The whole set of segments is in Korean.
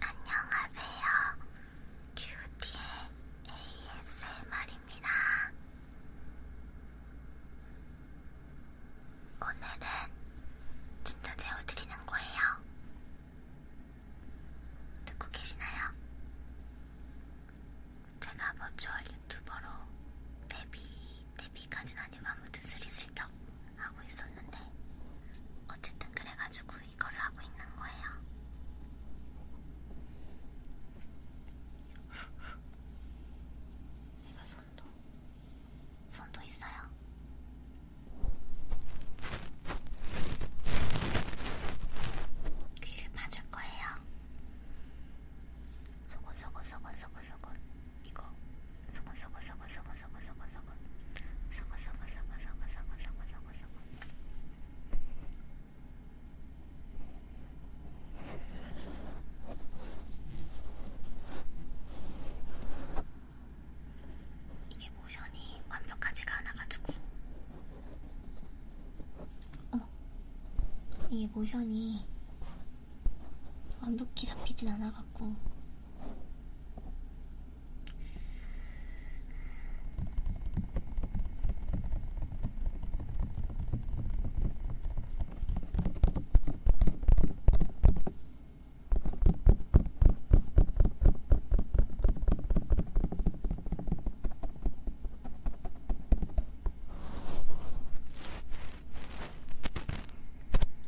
안녕하세요. 큐티의 ASMR입니다. 오늘은 진짜 재워드리는 거예요. 듣고 계시나요? 제가 버추얼 유튜버로 데뷔 데뷔까진 그 아니고 아무튼 스리슬쩍 하고 있었는데 어쨌든 그래가지고 이거를 하고 있는 거예요. 이거 손도 손도 있어요. 귀를 봐줄 거예요. 속옷 속옷 속옷 속옷 속옷. 이거 서거 서거 서거 서거 서거 서거 서거 서거 서거 서거 서거 서거 서거 서거 서거 이게 모션이 완벽하지가 않아가지고 어머 이게 모션이 완벽히 잡히진 않아갖고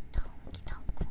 덩기 덩구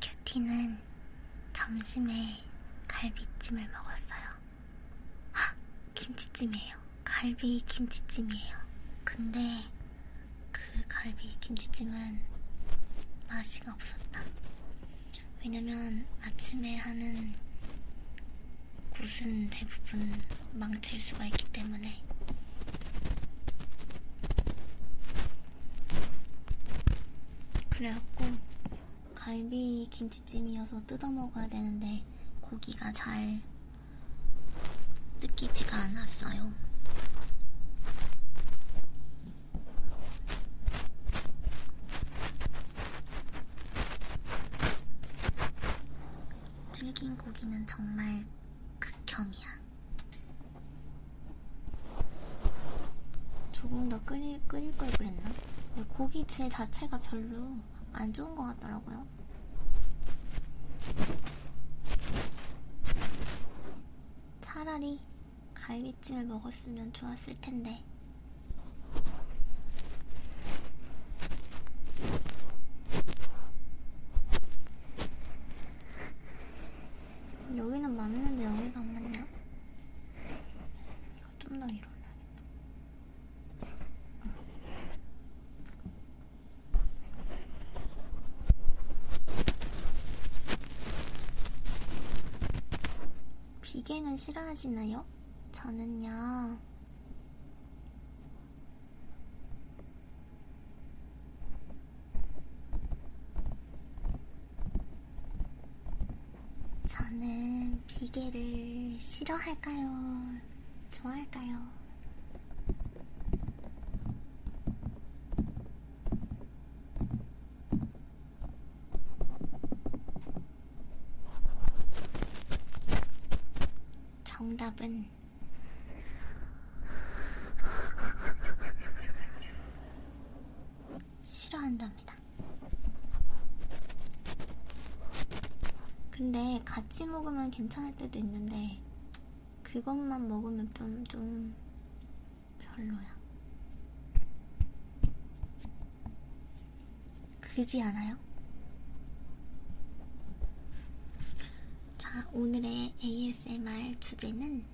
큐티는 점심에 갈비찜을 먹었어요. 하! 김치찜이에요. 갈비 김치찜이에요. 근데 그 갈비 김치찜은 맛이 없었다. 왜냐면 아침에 하는 곳은 대부분 망칠 수가 있기 때문에 그래갖고 갈비 김치찜이어서 뜯어 먹어야 되는데 고기가 잘 뜯기지가 않았어요. 튀긴 고기는 정말 극혐이야. 조금 더 끓일, 끓일 걸 그랬나? 고기 질 자체가 별로 안 좋은 것 같더라고요. 차라리 갈비찜을 먹었으면 좋았을 텐데. 여기는 맞는데 여기가 안 맞냐? 이거 좀더 위로 올라야겠다. 응. 비계는 싫어하시나요? 저는요. 저는 비계를 싫어할까요? 좋아할까요? 정답은 싫어한답니다. 근데 같이 먹으면 괜찮을 때도 있는데 그것만 먹으면 좀, 좀 별로야. 그지 않아요? 자, 오늘의 ASMR 주제는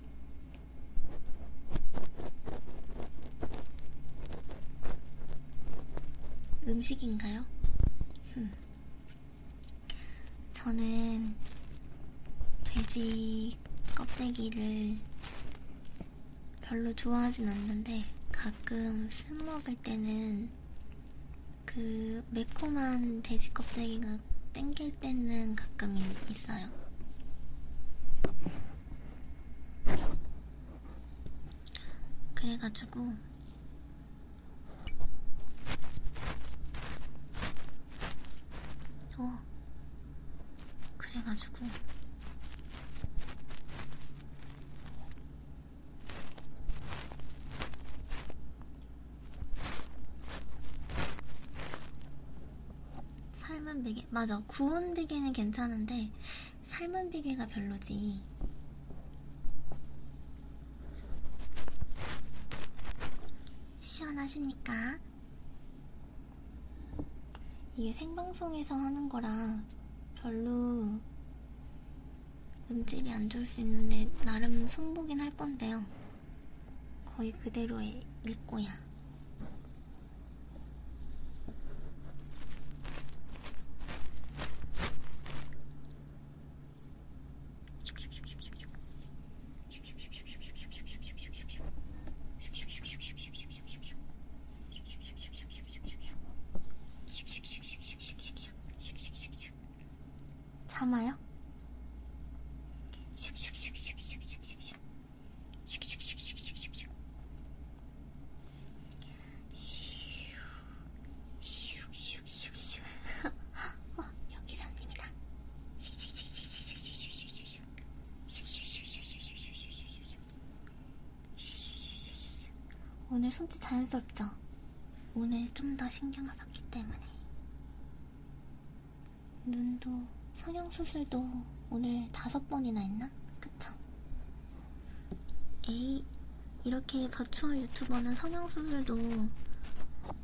음식인가요? 음. 저는 돼지 껍데기를 별로 좋아하진 않는데 가끔 술 먹을 때는 그 매콤한 돼지 껍데기가 땡길 힘들 때는 가끔 있어요. 그래가지고 어 그래가지고 삶은 비계 맞아 구운 비계는 괜찮은데 삶은 비계가 별로지 시원하십니까? 이게 생방송에서 하는 거라 별로 음질이 안 좋을 수 있는데 나름 승보긴 할 건데요. 거의 그대로의 일꼬야. 참아요? 어, 여기 삼입니다. 오늘 손짓 자연스럽죠? 오늘 좀 더 신경 썼기 때문에 눈도 성형수술도 오늘 다섯 번이나 했나? 그쵸? 에이, 이렇게 버추얼 유튜버는 성형수술도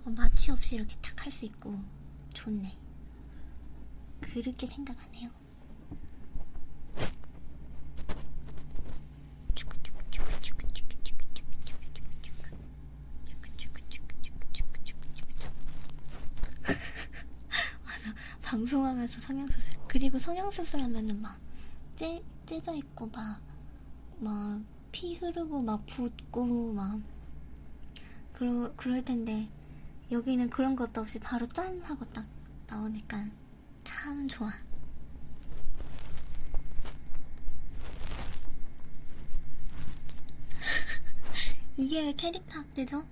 마취 없이 이렇게 탁 할 수 있고 좋네. 그렇게 생각하네요. 맞아 방송하면서 성형수술 그리고 성형수술 하면은 막 째, 째져 있고 막 막피 흐르고 막 붓고 막 그러, 그럴 텐데 여기는 그런 것도 없이 바로 짠 하고 딱 나오니까 참 좋아. 이게 왜 캐릭터 학대죠?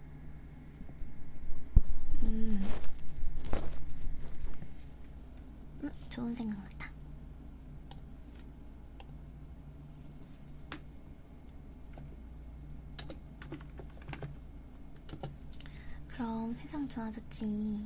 음. 음, 좋은 생각 났다. 그럼 세상 좋아졌지.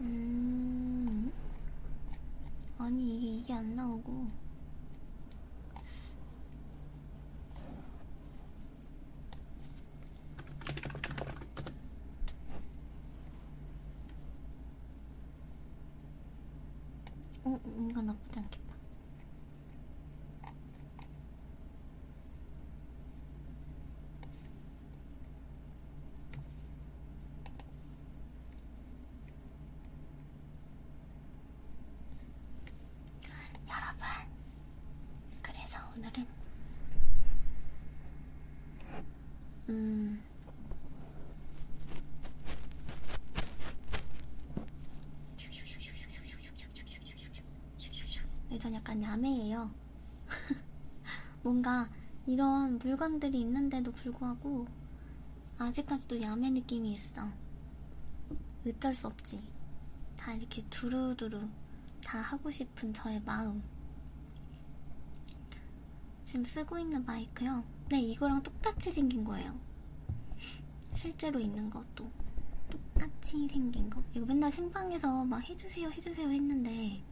음 아니 이게 이게 안 나오고 응, 음, 이건 나쁘지 않겠다. 여러분, 그래서 오늘은 음 네, 전 약간 야매예요. 뭔가 이런 물건들이 있는데도 불구하고 아직까지도 야매 느낌이 있어. 어쩔 수 없지. 다 이렇게 두루두루 다 하고 싶은 저의 마음. 지금 쓰고 있는 마이크요. 네, 이거랑 똑같이 생긴 거예요. 실제로 있는 것도 똑같이 생긴 거. 이거 맨날 생방에서 막 해주세요, 해주세요 했는데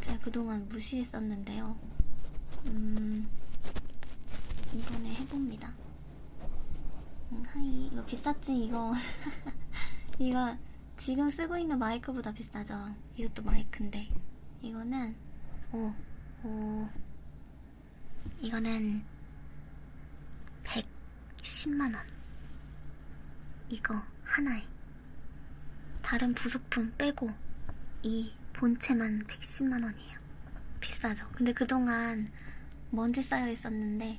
제가 그동안 무시했었는데요. 음, 이번에 해봅니다. 음, 하이, 이거 빗사지 이거. 이거 지금 쓰고 있는 마이크보다 비싸죠. 이것도 마이크인데. 이거는, 오, 오, 이거는 110만원. 이거 하나에. 다른 부속품 빼고 이 본체만 110만원이에요. 비싸죠. 근데 그동안 먼지 쌓여 있었는데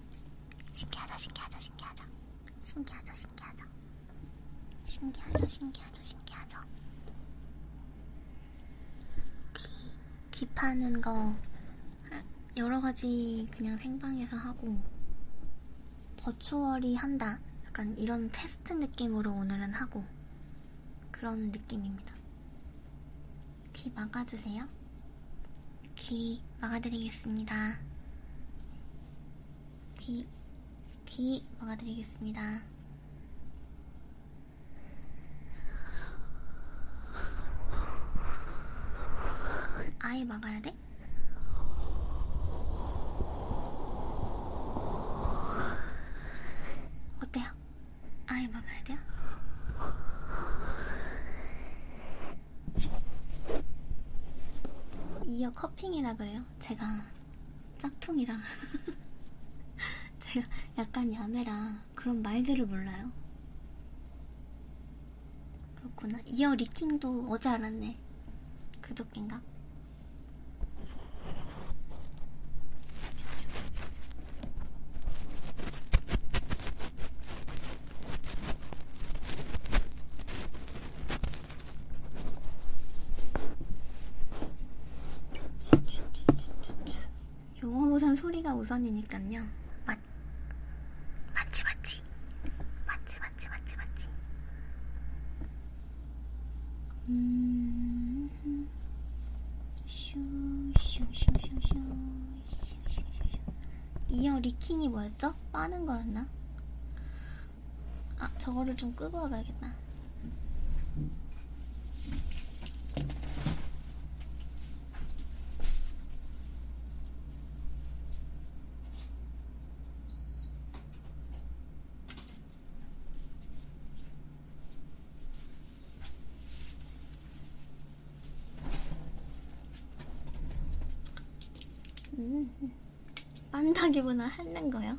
신기하다 신기하다 신기하다 신기하다 신기하다 신기하다 신기하다 신기하다 귀, 귀 파는 거 여러 가지 그냥 생방에서 하고 버추얼이 한다 약간 이런 테스트 느낌으로 오늘은 하고 그런 느낌입니다. 귀 막아주세요. 귀 막아드리겠습니다. 귀, 귀 막아드리겠습니다. 아예 막아야 돼? 어때요? 아예 먹어야 돼요? 이어 커핑이라 그래요? 제가 짝퉁이랑 제가 약간 야매라 그런 말들을 몰라요. 그렇구나. 이어 리킹도 어제 알았네. 그저께인가? 영어보단 소리가 우선이니까요. 맞, 맞지, 맞지. 맞지, 맞지, 맞지, 맞지. 음, 슈, 슈, 슈, 슈, 슈. 이어 리킹이 뭐였죠? 빠는 거였나? 아, 저거를 좀 끄고 와봐야겠다. 음, 빤다기보다 핥는 거요?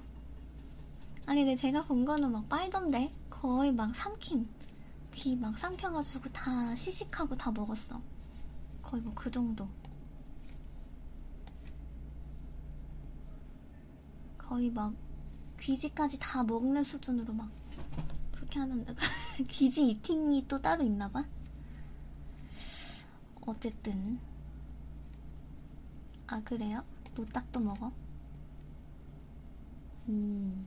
아니 근데 제가 본 거는 막 빨던데 거의 막 삼킴 귀 막 삼켜가지고 다 시식하고 다 먹었어 거의 뭐 그 정도 거의 막 귀지까지 다 먹는 수준으로 막 그렇게 하는 귀지 이팅이 또 따로 있나봐. 어쨌든 아 그래요? 노딱도 먹어? 음.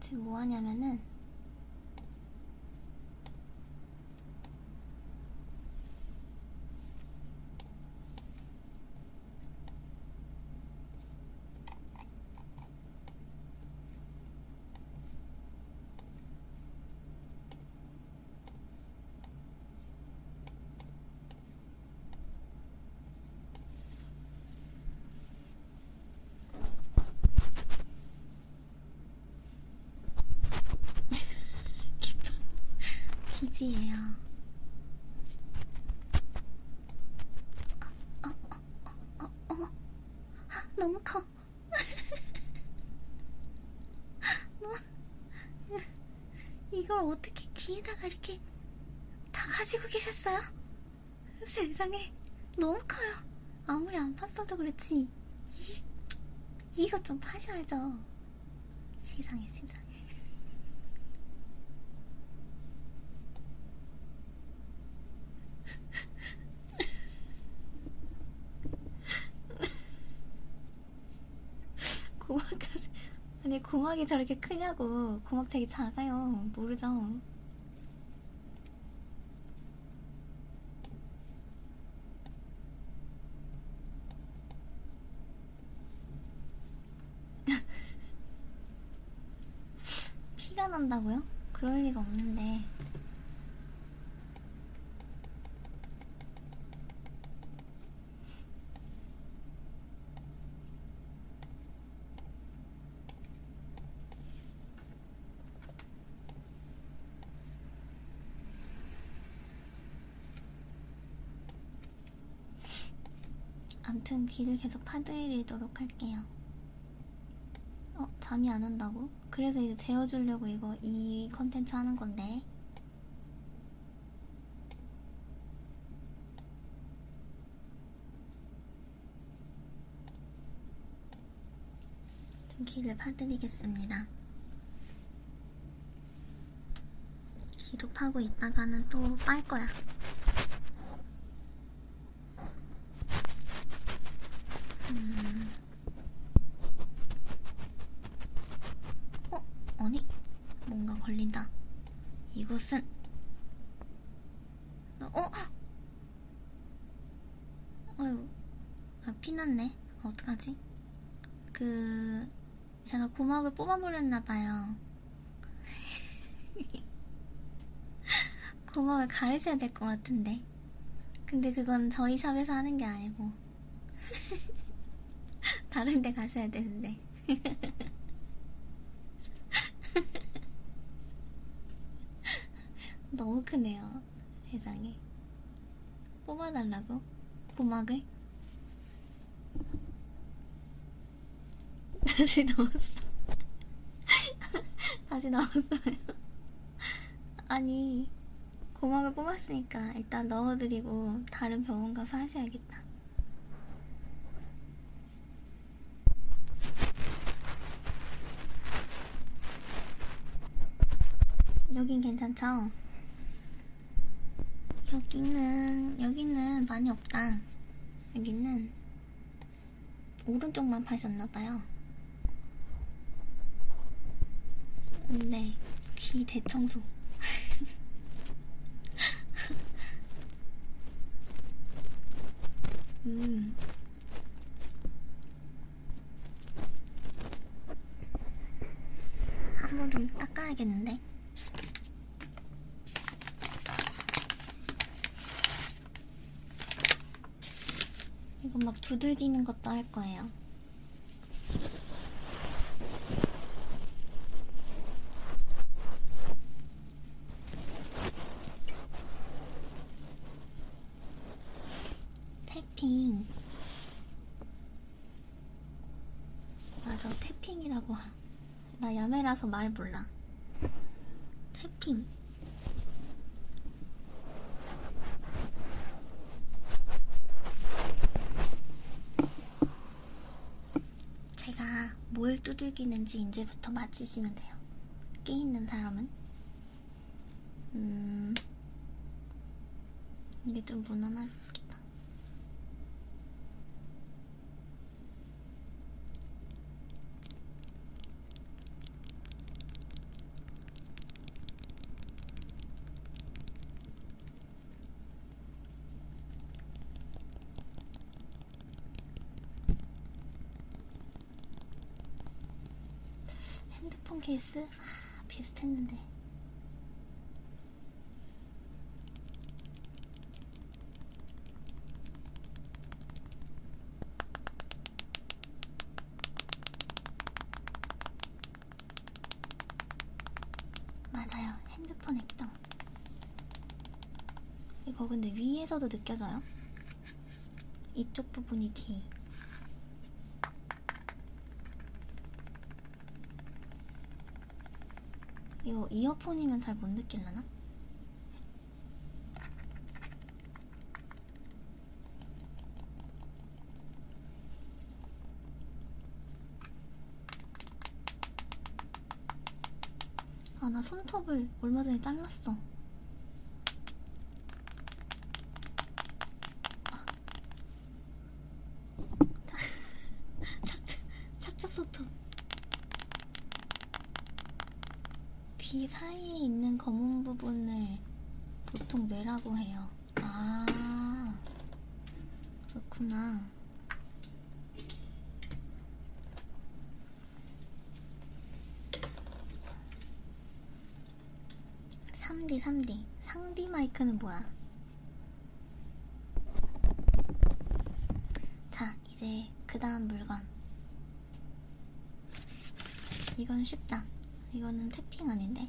지금 뭐 하냐면은 기분 기지예요. 어, 어, 어, 어, 어머, 너무 커. 이걸 어떻게 귀에다가 이렇게 다 가지고 계셨어요? 세상에 너무 커요. 아무리 안 팠어도 그렇지. 이거 좀 파셔야죠. 세상에 세상에. 고막까지 아니 고막이 저렇게 크냐고 고막 되게 작아요 모르죠 피가 난다고요? 그럴 리가 없는데. 암튼 귀를 계속 파도에 밀도록 할게요. 어? 잠이 안 온다고? 그래서 이제 재워주려고 이거 이 컨텐츠 하는 건데. 두기를 파드리겠습니다. 기도 파고 있다가는 또 빨 거야. 음. 어? 아니? 뭔가 걸린다. 이것은 어? 어휴, 아, 피났네. 아, 어떡하지? 그, 제가 고막을 뽑아버렸나봐요. 고막을 가르쳐야 될 것 같은데. 근데 그건 저희 샵에서 하는 게 아니고. 다른 데 가셔야 되는데. 너무 크네요. 세상에. 뽑아달라고? 고막을? 다시 나왔어. 다시 나왔어요. 아니, 고막을 뽑았으니까 일단 넣어드리고 다른 병원 가서 하셔야겠다. 여긴 괜찮죠? 여기는 여기는 많이 없다. 여기는 오른쪽만 파셨나봐요. 네, 귀 대청소. 음, 한번 좀 닦아야겠는데? 이거 막 두들기는 것도 할 거예요. 태핑 맞아 태핑이라고 하. 나 야매라서 말 몰라 태핑 제가 뭘 두들기는지 이제부터 맞히시면 돼요. 끼 있는 사람은? 음, 이게 좀 무난하겠다. 핸드폰 케이스? 아, 비슷했는데. 맞아요. 핸드폰 액정. 이거 근데 위에서도 느껴져요? 이쪽 부분이 뒤. 이 이어폰이면 잘 못 느낄려나? 아, 나 손톱을 얼마 전에 잘랐어. 아. 착착 손톱. 귀 사이에 있는 검은 부분을 보통 뇌라고 해요. 아, 그렇구나. 3D 3D 상디 마이크는 뭐야? 자 이제 그 다음 물건 이건 쉽다 이거는 태핑 아닌데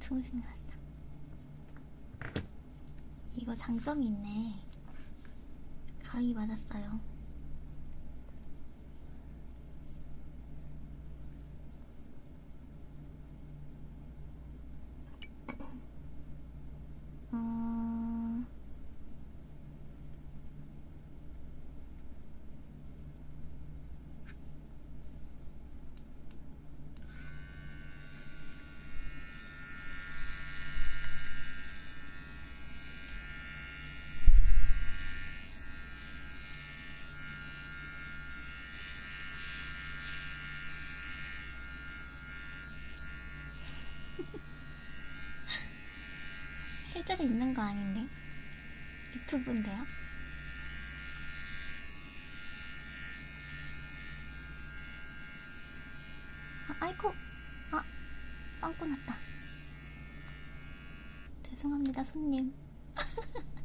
동생 났다. 이거 장점이 있네. 가위 맞았어요. 음... 실제로 있는 거 아닌데? 유튜브인데요. 아, 아이코, 아, 빵꾸 났다. 죄송합니다, 손님.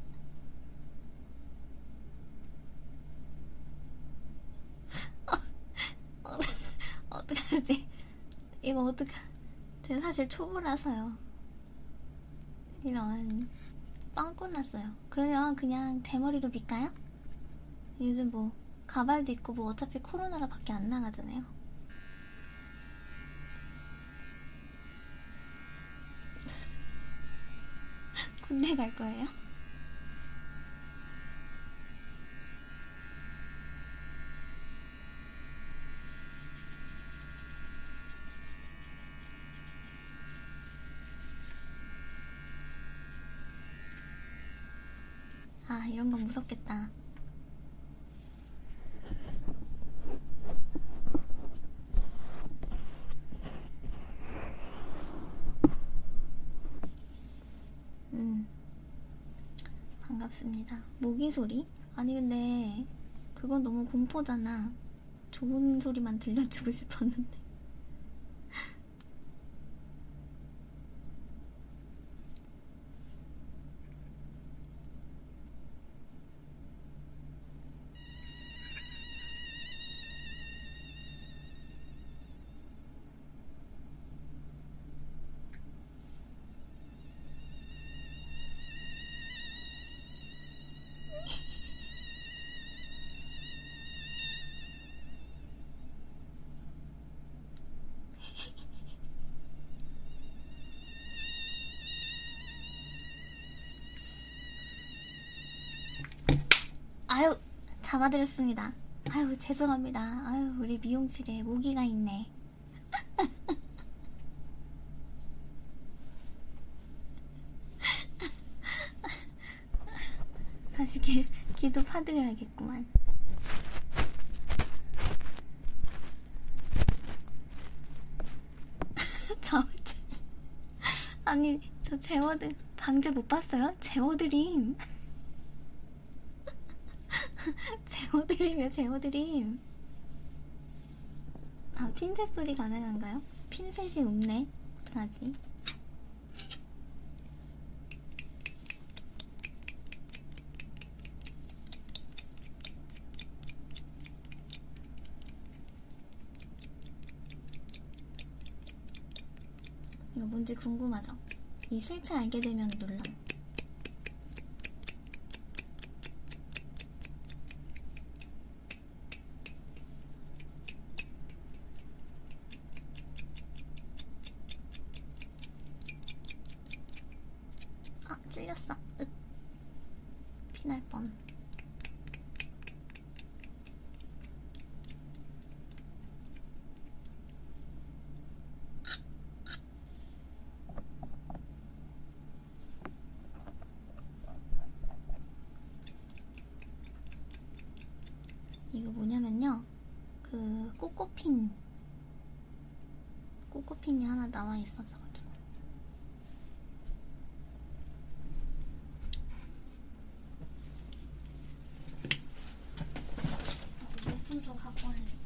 어, 어떡하지? 이거 어떡하... 제가 사실 초보라서요. 이런 빵 끝났어요. 그러면 그냥 대머리로 빗까요? 요즘 뭐 가발도 있고 뭐 어차피 코로나라 밖에 안 나가잖아요. 군대 갈 거예요? 아, 이런 건 무섭겠다. 음, 반갑습니다. 모기 소리? 아니, 근데 그건 너무 공포잖아. 좋은 소리만 들려주고 싶었는데. 아유 잡아드렸습니다 아유 죄송합니다 아유 우리 미용실에 모기가 있네 다시 기, 기도 파드려야겠구만. 저, 아니, 저 제어들, 방제 못 봤어요? 제어드림. 제어드림이야, 제어드림. 아 핀셋 소리 가능한가요? 핀셋이 없네. 어떡하지? 이거 뭔지 궁금하죠? 이 실체 알게 되면 놀라. 아, 찔렸어. 으. 피날 뻔. 이거 뭐냐면요. 그 꼬꼬핀 꼬꼬핀이 하나 나와 있어서 가지고 물품도 갖고 와야 될거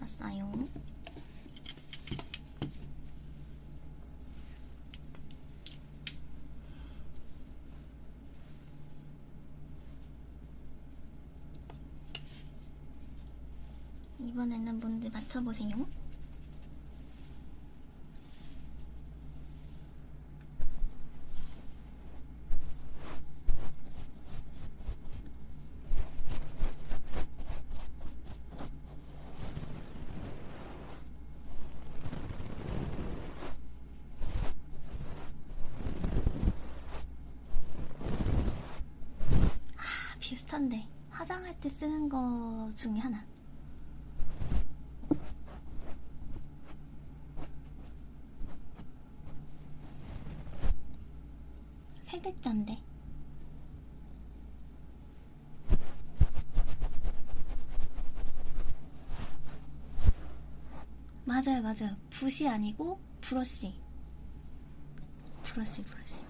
왔어요. 이번에는 뭔지 맞춰보세요. 아, 비슷한데. 화장할 때 쓰는 거 중에 하나. 세 글자인데. 맞아요, 맞아요. 붓이 아니고 브러쉬. 브러쉬, 브러쉬.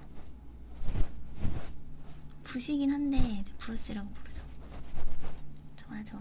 붓이긴 한데 브러쉬라고 부르죠. 좋아, 좋아.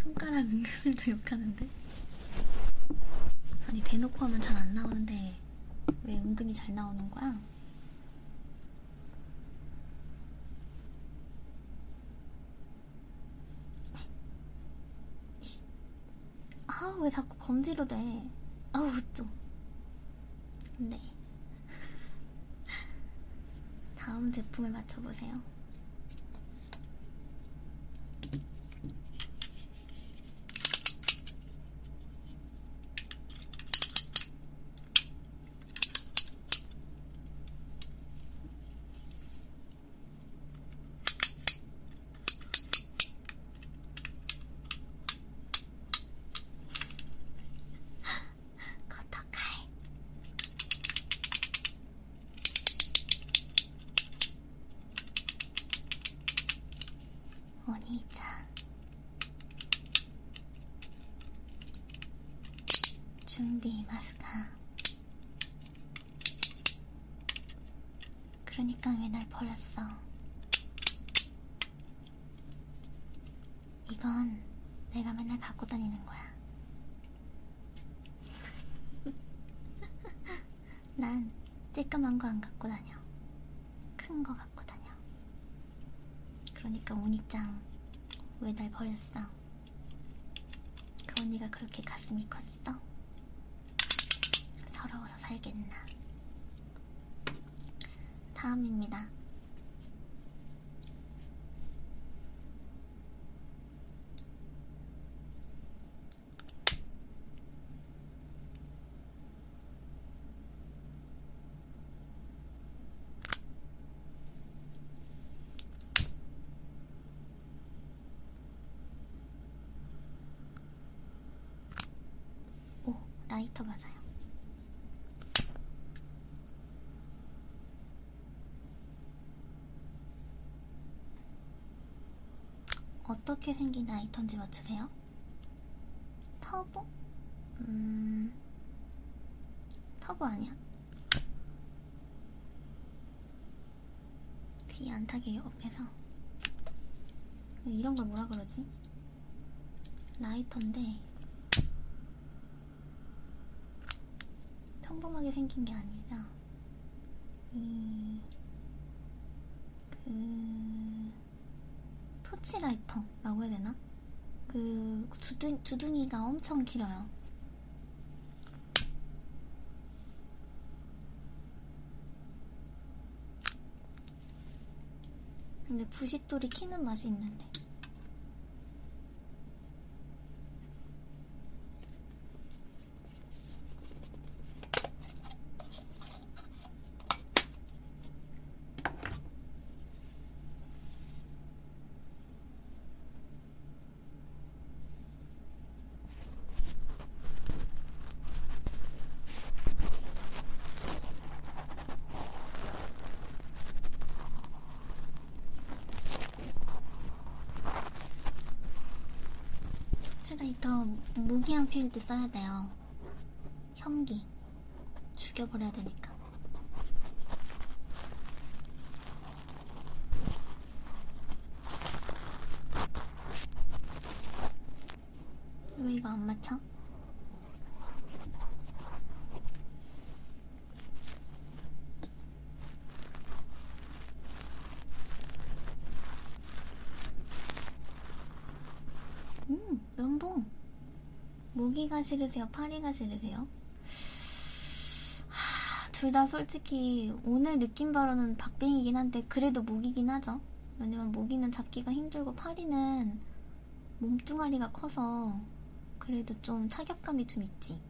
손가락 은근을 더 욕하는데? 아니 대놓고 하면 잘 안 나오는데 왜 은근히 잘 나오는 거야? 아우 왜 자꾸 검지로 돼? 아우 좀. 네. 다음 제품을 맞춰보세요. ことかいお兄ちゃん準備いますか 그러니까 왜 날 버렸어? 이건 내가 맨날 갖고 다니는 거야. 난 쬐끄만 거 안 갖고 다녀. 큰 거 갖고 다녀. 그러니까 오니짱 왜 날 버렸어? 그 언니가 그렇게 가슴이 컸어? 서러워서 살겠나? 다음입니다. 오, 라이터 맞아요. 어떻게 생긴 라이터인지 맞추세요? 터보? 음... 터보 아니야? 귀안 타게 옆에서 이런 걸 뭐라 그러지? 라이터인데 평범하게 생긴 게 아니라 이그 토치라이터라고 해야 되나? 그 주둥, 주둥이가 엄청 길어요. 근데 부싯돌이 키는 맛이 있는데 제가 이따 모기향 필드 써야 돼요. 현기 죽여버려야 되니까. 왜 이거 안 맞춰? 음, 면봉. 모기가 싫으세요? 파리가 싫으세요? 둘다 솔직히 오늘 느낌 바로는 박빙이긴 한데 그래도 모기긴 하죠. 왜냐면 모기는 잡기가 힘들고 파리는 몸뚱아리가 커서 그래도 좀 타격감이 좀 있지.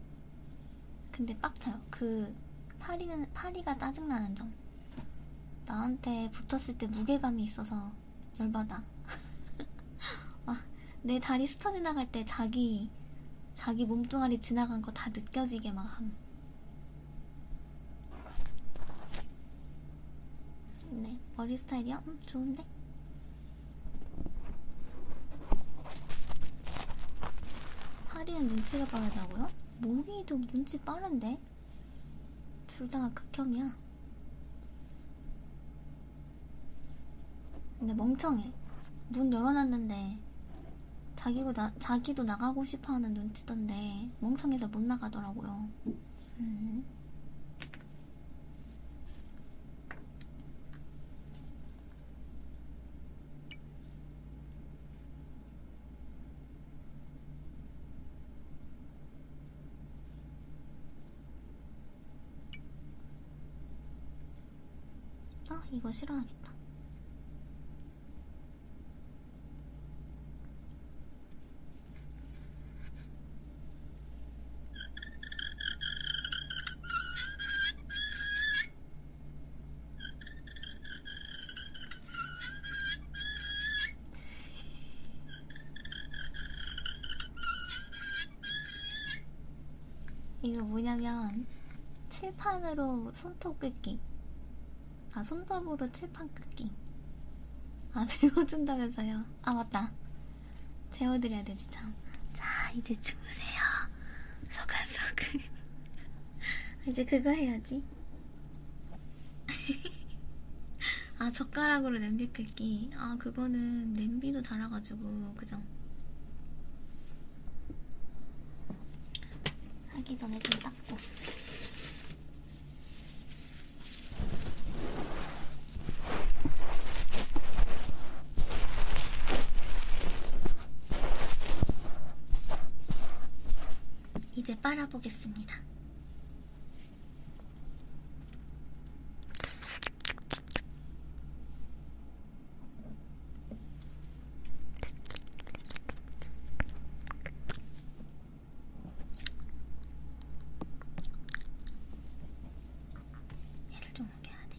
근데 빡쳐요. 그 파리는 파리가 짜증나는 점. 나한테 붙었을 때 무게감이 있어서 열받아. 와, 아, 내 다리 스쳐 지나갈 때 자기 자기 몸뚱아리 지나간 거 다 느껴지게 막 함. 네, 머리 스타일이요? 음, 좋은데? 파리는 눈치가 빠르다고요? 몽이 좀 눈치 빠른데? 둘 다 극혐이야. 근데 멍청해. 문 열어놨는데 자기고 나, 자기도 나가고 싶어 하는 눈치던데, 멍청해서 못 나가더라고요. 음. 아, 이거 싫어하겠다. 이거 뭐냐면 칠판으로 그 뭐 손톱 긋기 아 손톱으로 칠판 긋기 아 재워준다면서요 아 맞다 재워드려야 되지 참 자 이제 주무세요 소근소근 이제 그거 해야지 아 젓가락으로 냄비 끓기 아 그거는 냄비도 달아가지고 그죠 하기 전에 좀 닦고. 이제 빨아보겠습니다. 얘를 좀 옮겨야 돼.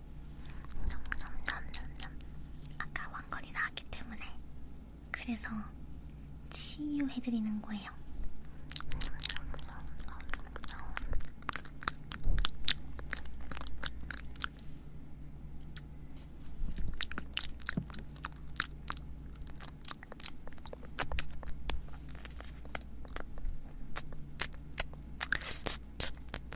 냠냠냠냠냠. 아까 왕건이 나왔기 때문에 그래서 치유 해드리는 거예요.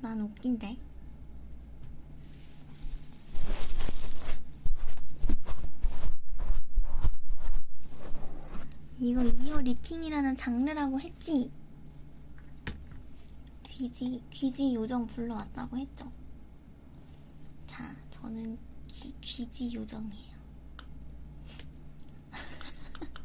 난 웃긴데. 이거 이어 리킹이라는 장르라고 했지? 귀지, 귀지 요정 불러왔다고 했죠? 자, 저는 귀, 귀지 요정이에요.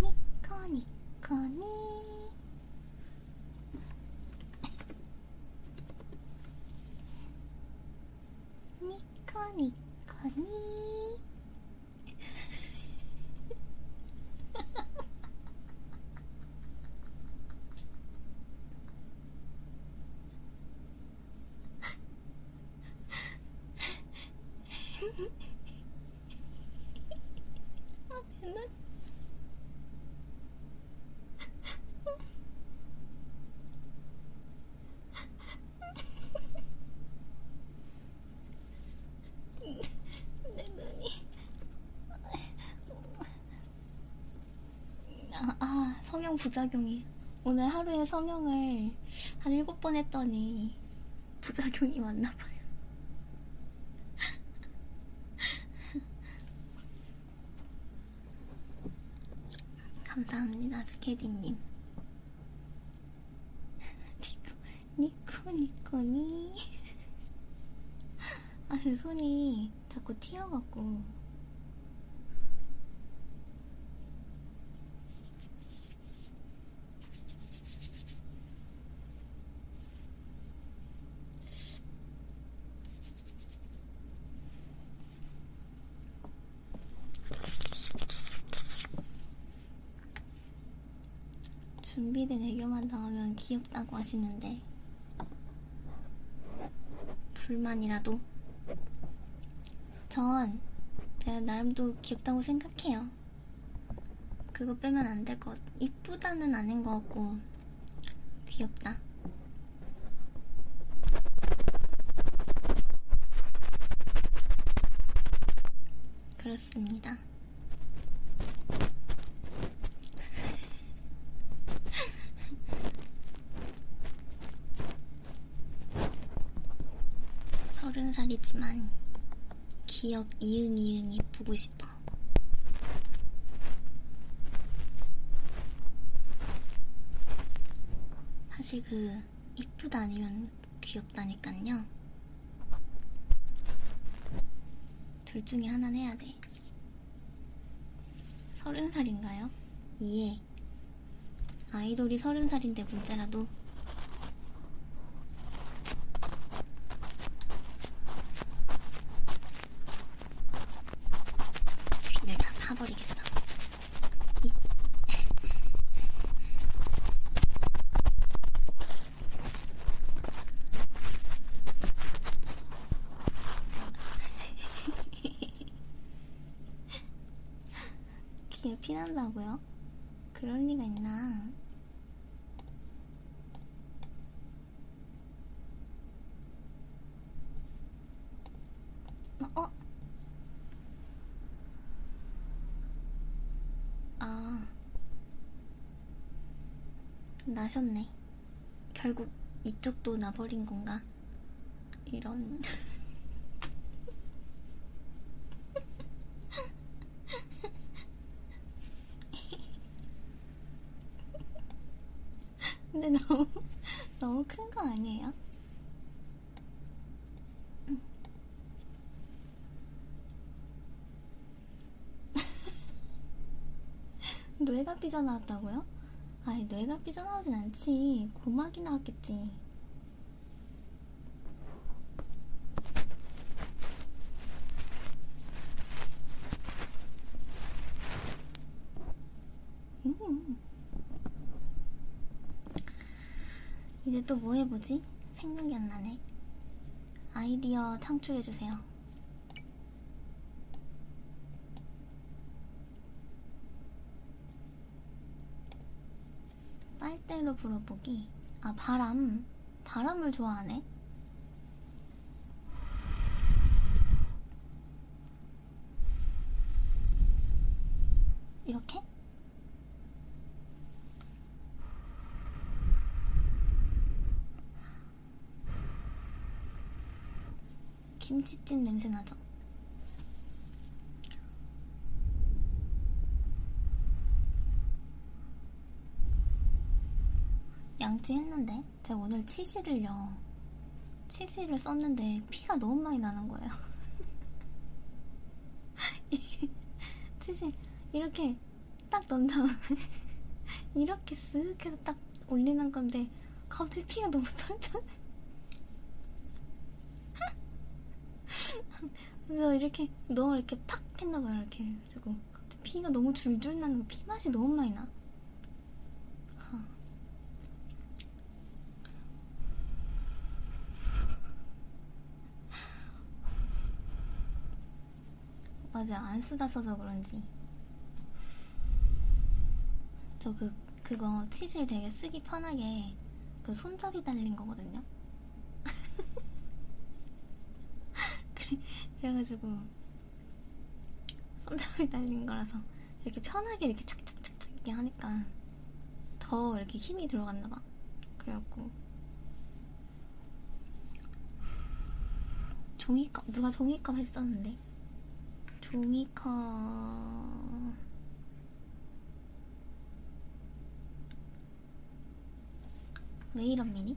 ニコニコねーニコニコねー 아, 성형 부작용이 오늘 하루에 성형을 한 일곱 번 했더니 부작용이 왔나봐요. 감사합니다, 스케디님. 니코, 니코, 니코니. 아, 그 손이 자꾸 튀어갖고. 준비된 애교만 나오면 귀엽다고 하시는데 불만이라도 전 제가 나름도 귀엽다고 생각해요. 그거 빼면 안 될 것 같아. 이쁘다는 아닌 것 같고 귀엽다. 그렇습니다. 서른 살이지만 기억 이응 이응이 보고 싶어. 사실 그 이쁘다 아니면 귀엽다니깐요. 둘 중에 하나는 해야 돼. 서른 살인가요? 예. 네. 아이돌이 서른 살인데 문자라도 귀를 네, 다 파버리겠어. 이... 귀에 피난다고요? 그럴 리가 있나? 어? 어? 아. 나셨네. 결국 이쪽도 나버린 건가? 이런 근데 너무 너무 큰 거 아니에요? 뇌가 삐져나왔다고요? 아니 뇌가 삐져나오진 않지 고막이 나왔겠지 음. 이제 또 뭐 해보지? 생각이 안 나네. 아이디어 창출해주세요. 빨대로 불어보기. 아, 바람. 바람을 좋아하네. 이렇게? 김치찜 냄새 나죠? 양치 했는데 제가 오늘 치실을요 치실을 썼는데 피가 너무 많이 나는 거예요 이게 치실 이렇게 딱 넣은 다음에 이렇게 쓱 해서 딱 올리는 건데 갑자기 피가 너무 찰찰해 그래서 이렇게 너무 이렇게 팍 했나봐요. 이렇게 해가지고 피가 너무 줄줄 나는 거, 피 맛이 너무 많이 나. 아. 맞아, 안 쓰다 써서 그런지. 저 그, 그거 치질 되게 쓰기 편하게 그 손잡이 달린 거거든요. 그래, 그래가지고 손잡이 달린 거라서 이렇게 편하게 이렇게 착착착착 이렇게 하니까 더 이렇게 힘이 들어갔나 봐. 그래갖고 종이컵 누가 종이컵 했었는데 종이컵 왜 이런 미니?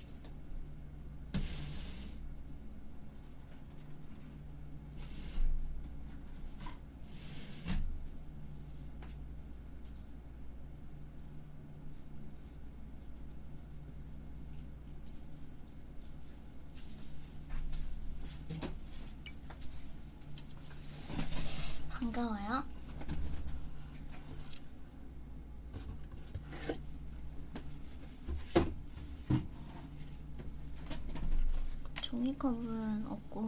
반가워요. 종이컵은 없고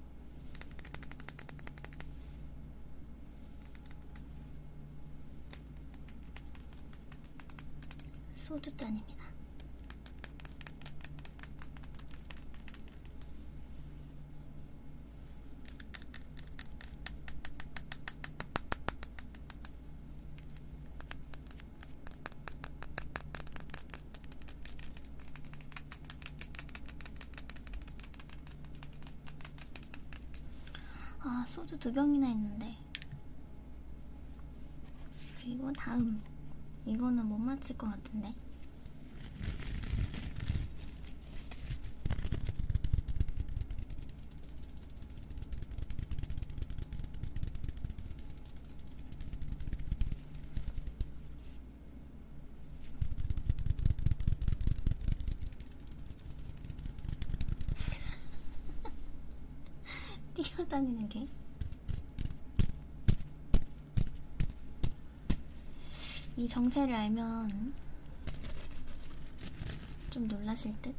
소주잔입니다. 아, 소주 두 병이나 했는데. 그리고 다음. 이거는 못 맞힐 것 같은데. 뛰어다니는 게 이 정체를 알면 좀 놀라실 듯?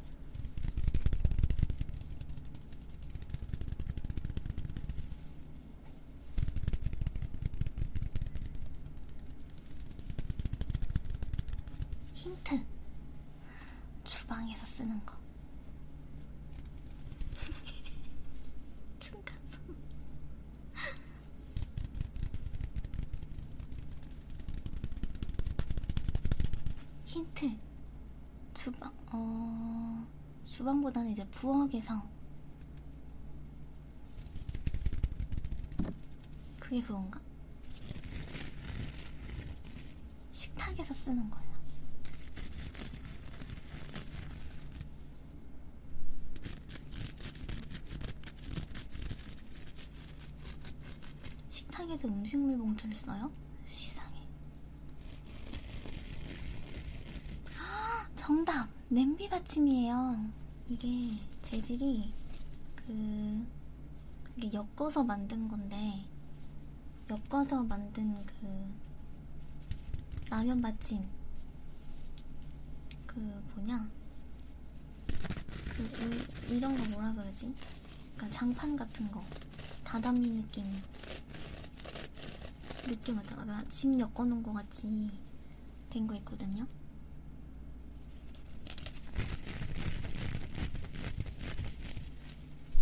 힌트 주방에서 쓰는 거 층간소음 힌트 주방 어. 수방보다는 이제 부엌에서 그게 그건가? 식탁에서 쓰는 거야. 식탁에서 음식물 봉투를 써요? 시상에 정답! 냄비 받침이에요. 이게 재질이 그 이게 엮어서 만든 건데 엮어서 만든 그 라면 받침 그 뭐냐 그 이런 거 뭐라 그러지? 그러니까 장판 같은 거 다다미 느낌 느낌 왔잖아. 나침 엮어놓은 거 같이 된 거 있거든요.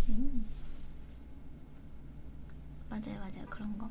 음. 맞아요, 맞아요. 그런 거.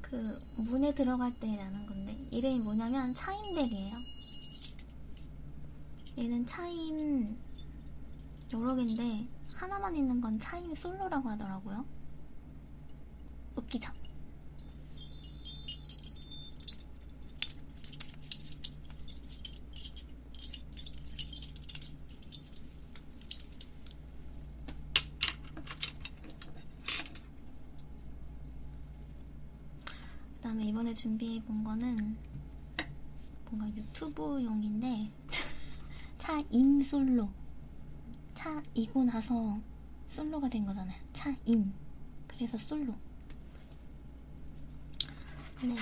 그 문에 들어갈 때 나는 건데 이름이 뭐냐면 차인백이에요. 얘는 차임 여러 개인데 하나만 있는 건 차임 솔로라고 하더라고요. 웃기죠? 그 다음에 이번에 준비해 본 거는 뭔가 유튜브용인데 차 임솔로 차 이고 나서 솔로가 된 거잖아요. 차 임. 그래서 솔로. 네.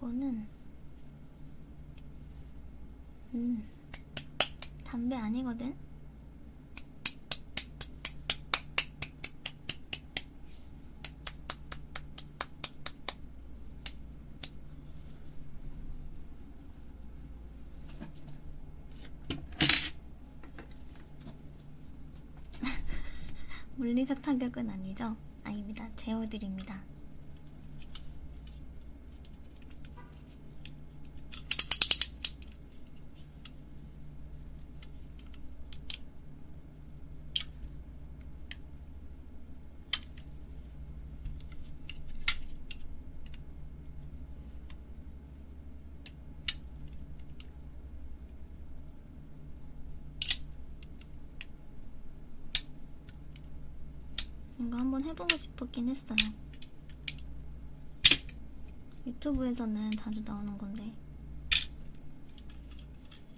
이거는 음 담배 아니거든. 물리적 타격은 아니죠? 아닙니다. 재워드립니다. 뭔가 한번 해보고 싶었긴 했어요. 유튜브에서는 자주 나오는 건데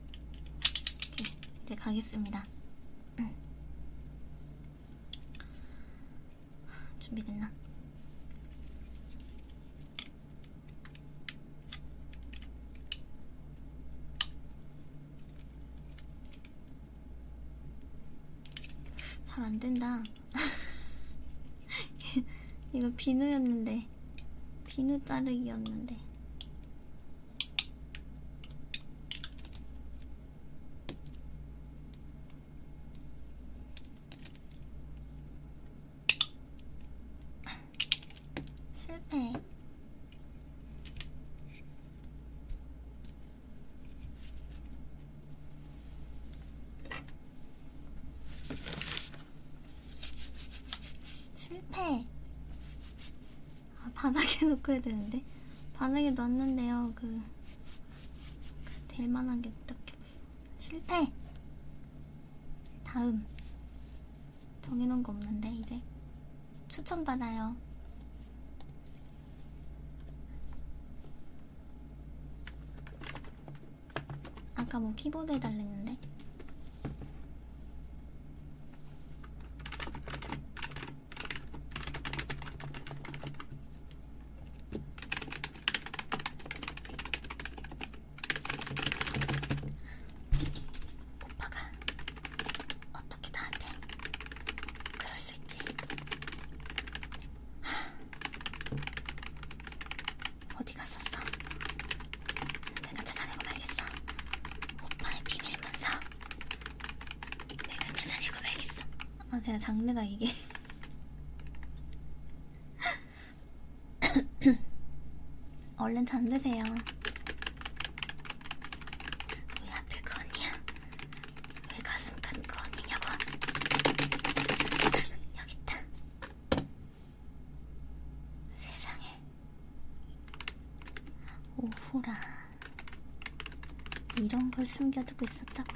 오케이, 네, 이제 가겠습니다. 응. 준비됐나? 잘 안된다 이거 비누였는데 비누 자르기였는데 실패. 실패. 아, 바닥에 놓고 해야 되는데 바닥에 놨는데요 그 될만한 게 딱히 없어 실패! 다음 정해놓은 거 없는데 이제 추천받아요 아까 뭐 키보드 해달랬는데 오빠가 어떻게 나한테 그럴 수 있지? 어디 갔었어? 내가 찾아내고 말겠어. 오빠의 비밀 문서. 내가 찾아내고 말겠어. 아, 제가 장르가 이게. 얼른 잠드세요. 왜 하필 그 언니야? 왜 가슴 큰그 언니냐고? 여기 있다. 세상에. 오호라 이런 걸 숨겨두고 있었다고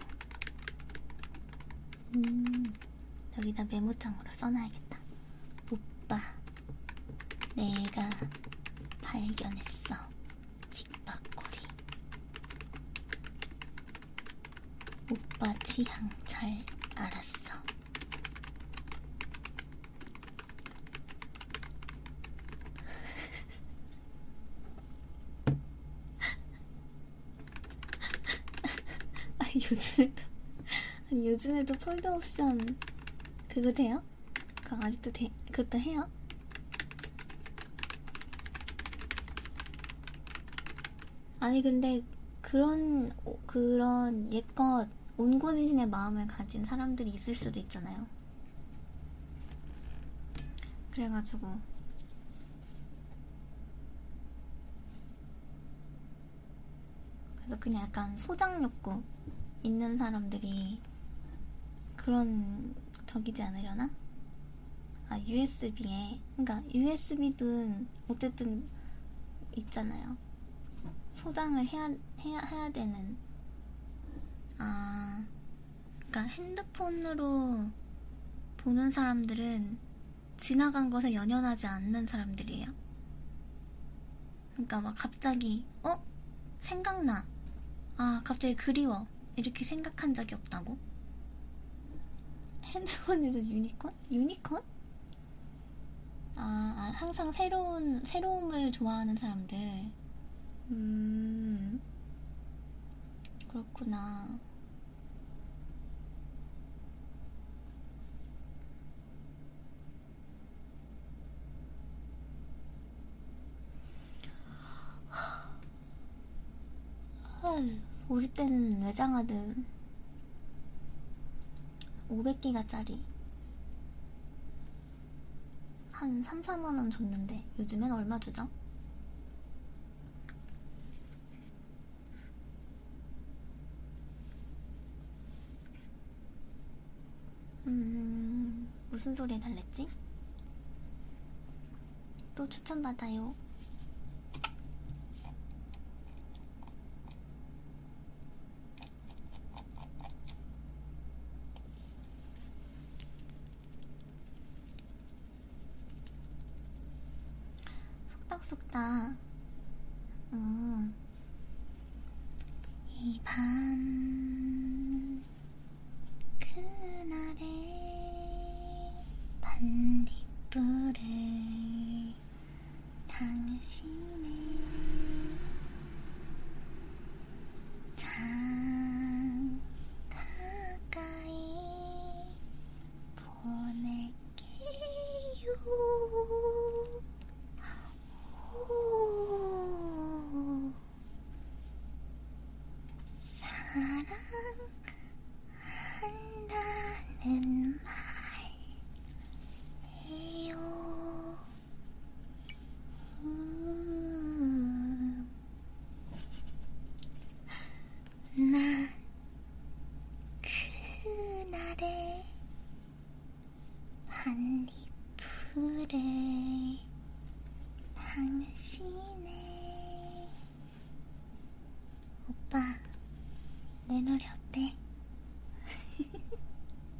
음 여기다 메모장으로 써놔야겠다 오빠 내가 발견했어 직박고리 오빠 취향 잘 알았어 아니, 요즘에도, 아니, 요즘에도 폴더 옵션 그거 돼요? 그거 아직도 돼, 그것도 해요? 아니, 근데 그런, 그런 예껏 온고지신의 마음을 가진 사람들이 있을 수도 있잖아요. 그래가지고 그래서 그냥 약간 소장 욕구 있는 사람들이 그런 적이지 않으려나? 아 USB에 그러니까 USB든 어쨌든 있잖아요. 소장을 해야, 해야, 해야 되는. 아, 그니까 핸드폰으로 보는 사람들은 지나간 것에 연연하지 않는 사람들이에요. 그니까 막 갑자기, 어? 생각나. 아, 갑자기 그리워. 이렇게 생각한 적이 없다고? 핸드폰에서 유니콘? 유니콘? 아, 아, 항상 새로운, 새로움을 좋아하는 사람들. 음, 그렇구나. 우리 때는 외장하든 500기가짜리 한 3, 4만원 줬는데 요즘엔 얼마 주죠? 음... 무슨 소리 달랬지? 또 추천받아요. 속닥속닥 음. 이 밤 그날의 반딧불을 당신의 참 가까이 보낼게요. 오 사랑한다는 말이요. 음. 난 그날의 한입풀에 당신의 오빠 내 노래 어때?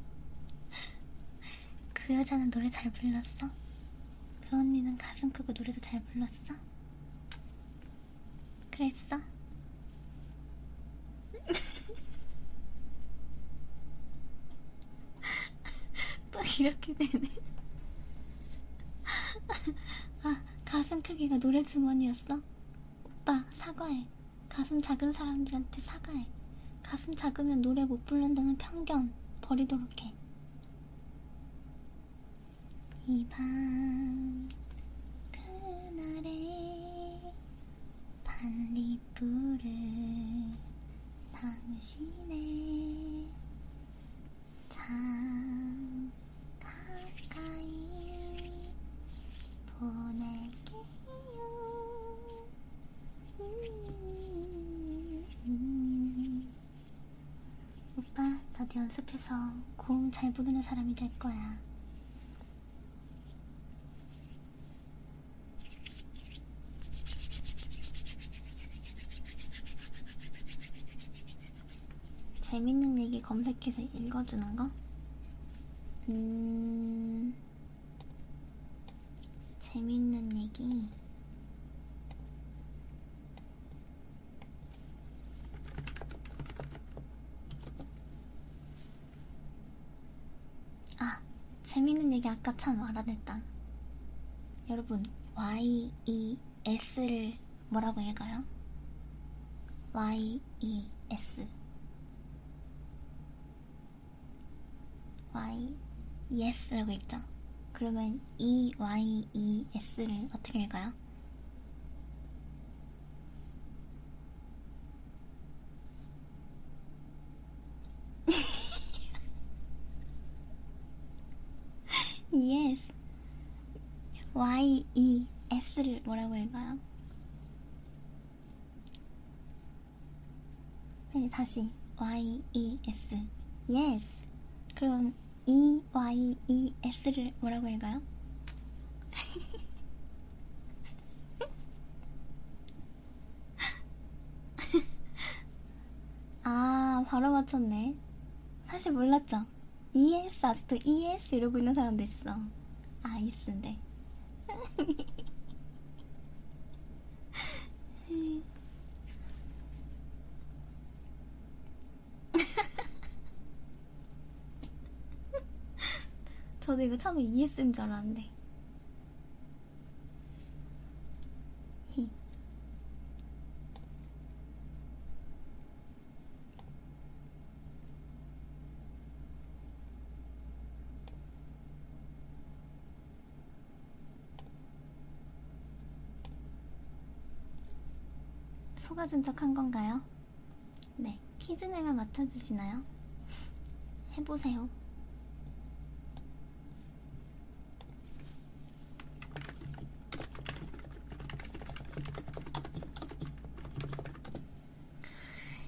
그 여자는 노래 잘 불렀어? 그 언니는 가슴 크고 노래도 잘 불렀어? 그랬어? 또 이렇게 되네. 아, 가슴 크기가 노래 주머니였어? 오빠, 사과해. 가슴 작은 사람들한테 사과해. 가슴 작으면 노래 못 부른다는 편견 버리도록 해. 이 밤 그날의 반딧불을 당신의 참 가까이 보낼게요 오빠, 나도 연습해서 고음 잘 부르는 사람이 될 거야. 재밌는 얘기 검색해서 읽어주는 거? 음... 재밌는 얘기 아 재밌는 얘기 아까 참 알아냈다 여러분 Y E S를 뭐라고 읽어요? Y E S y es라고 읽죠. 그러면 e y e s를 어떻게 읽어요? yes. Y, E, S를 뭐라고 읽어요? 네, 다시 y e s yes. 그럼 e y e s를 뭐라고 할까요? 아, 바로 맞췄네. 사실 몰랐죠? ES, 아직도 ES 이러고 있는 사람도 있어. 아, ES인데. 저도 이거 처음에 ES인 줄 알았는데. 속아준 척 한 건가요? 네, 퀴즈 내면 맞춰주시나요? 해보세요.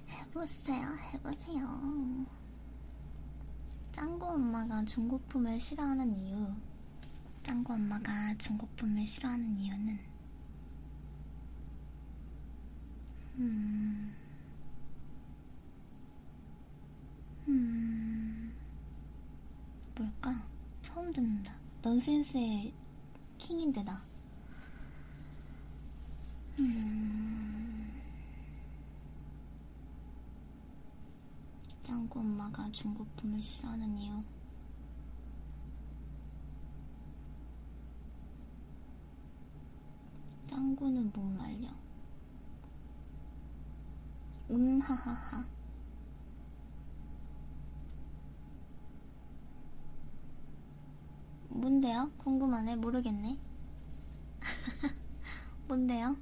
해보세요, 해보세요. 짱구 엄마가 중고품을 싫어하는 이유. 짱구 엄마가 중고품을 싫어하는 이유는, 음, 음, 뭘까? 처음 듣는다. 넌센스의 킹인데, 다 음, 짱구 엄마가 중고품을 싫어하는 이유. 짱구는 못 말려. 음하하하. 뭔데요? 뭔데요? 궁금하네. 모르겠네. 뭔데요?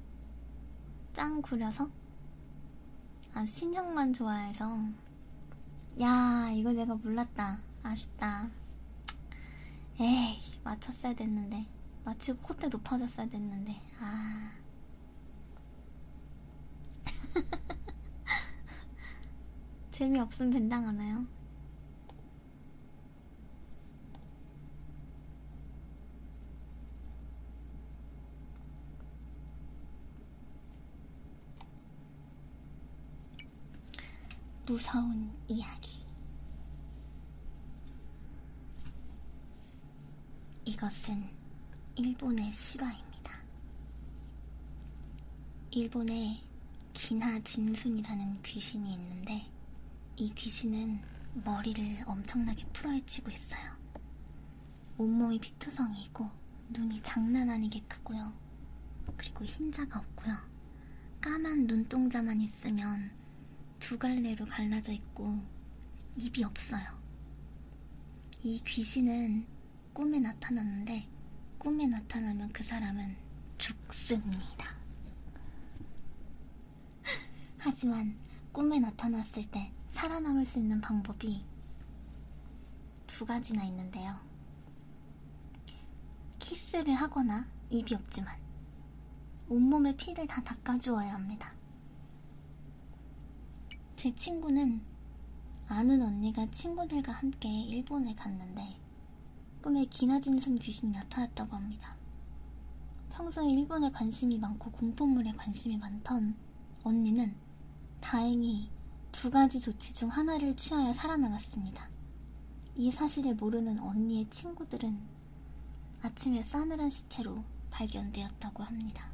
짱 구려서? 아, 신형만 좋아해서. 야, 이거 내가 몰랐다. 아쉽다. 에이, 맞췄어야 됐는데. 마치고 콧대 높아졌어야 됐는데. 아. 재미없으면 벤당 하나요? 무서운 이야기. 이것은 일본의 실화입니다. 일본에 기나 진순이라는 귀신이 있는데 때문에 이 귀신은 머리를 엄청나게 풀어헤치고 있어요. 온몸이 피투성이고 눈이 장난 아니게 크고요. 그리고 흰자가 없고요. 까만 눈동자만 있으면 두 갈래로 갈라져 있고 입이 없어요. 이 귀신은 꿈에 나타났는데 꿈에 나타나면 그 사람은 죽습니다. 하지만 꿈에 나타났을 때 살아남을 수 있는 방법이 두 가지나 있는데요. 키스를 하거나 입이 없지만 온몸의 피를 다 닦아주어야 합니다. 제 친구는 아는 언니가 친구들과 함께 일본에 갔는데 꿈에 기나진순 귀신이 나타났다고 합니다. 평소에 일본에 관심이 많고 공포물에 관심이 많던 언니는 다행히 두 가지 조치 중 하나를 취하여 살아남았습니다. 이 사실을 모르는 언니의 친구들은 아침에 싸늘한 시체로 발견되었다고 합니다.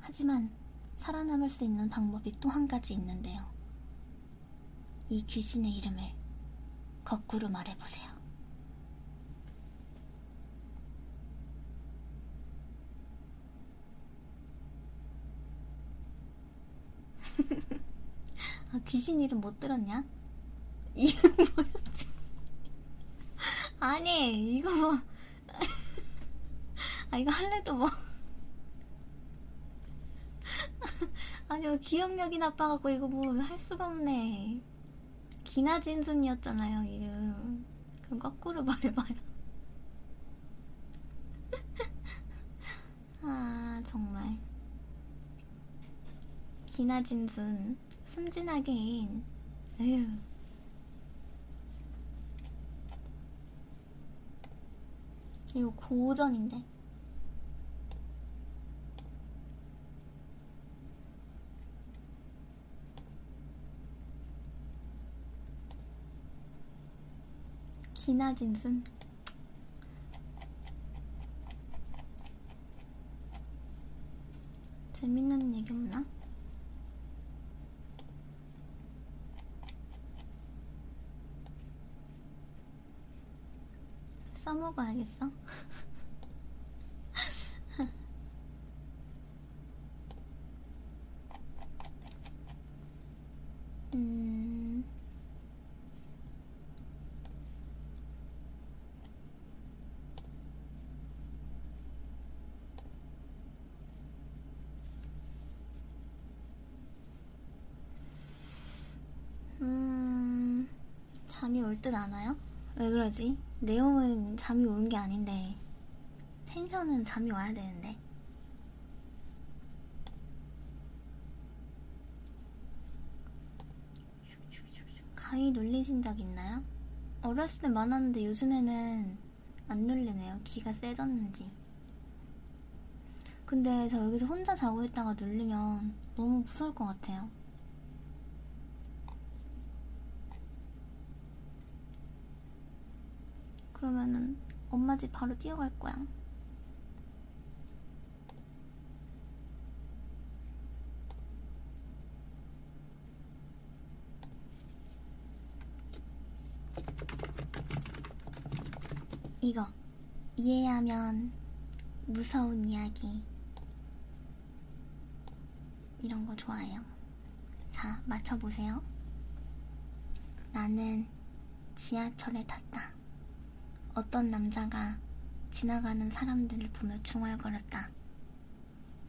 하지만 살아남을 수 있는 방법이 또 한 가지 있는데요. 이 귀신의 이름을 거꾸로 말해보세요. 아, 귀신 이름 못 들었냐? 이름 뭐였지? 아니, 이거 뭐. 아, 이거 할래도 뭐. 아니, 뭐 기억력이 나빠갖고 이거 뭐 할 수가 없네. 기나진순이었잖아요 이름 그럼 거꾸로 말해봐요 아 정말 기나진순 순진하게 인 에휴 이거 고전인데 기나진순 재밌는 얘기 없나? 써먹어야겠어? 음... 음... 잠이 올 듯 않아요? 왜 그러지? 내용은 잠이 오는 게 아닌데 텐션은 잠이 와야 되는데 가위 눌리신 적 있나요? 어렸을 때 많았는데 요즘에는 안 눌리네요 기가 세졌는지 근데 저 여기서 혼자 자고 있다가 눌리면 너무 무서울 것 같아요 있나요? 그러면은 엄마 집 바로 뛰어갈 거야. 이거 이해하면 무서운 이야기 이런 거 좋아해요. 자, 맞춰보세요. 나는 지하철에 탔다. 어떤 남자가 지나가는 사람들을 보며 중얼거렸다.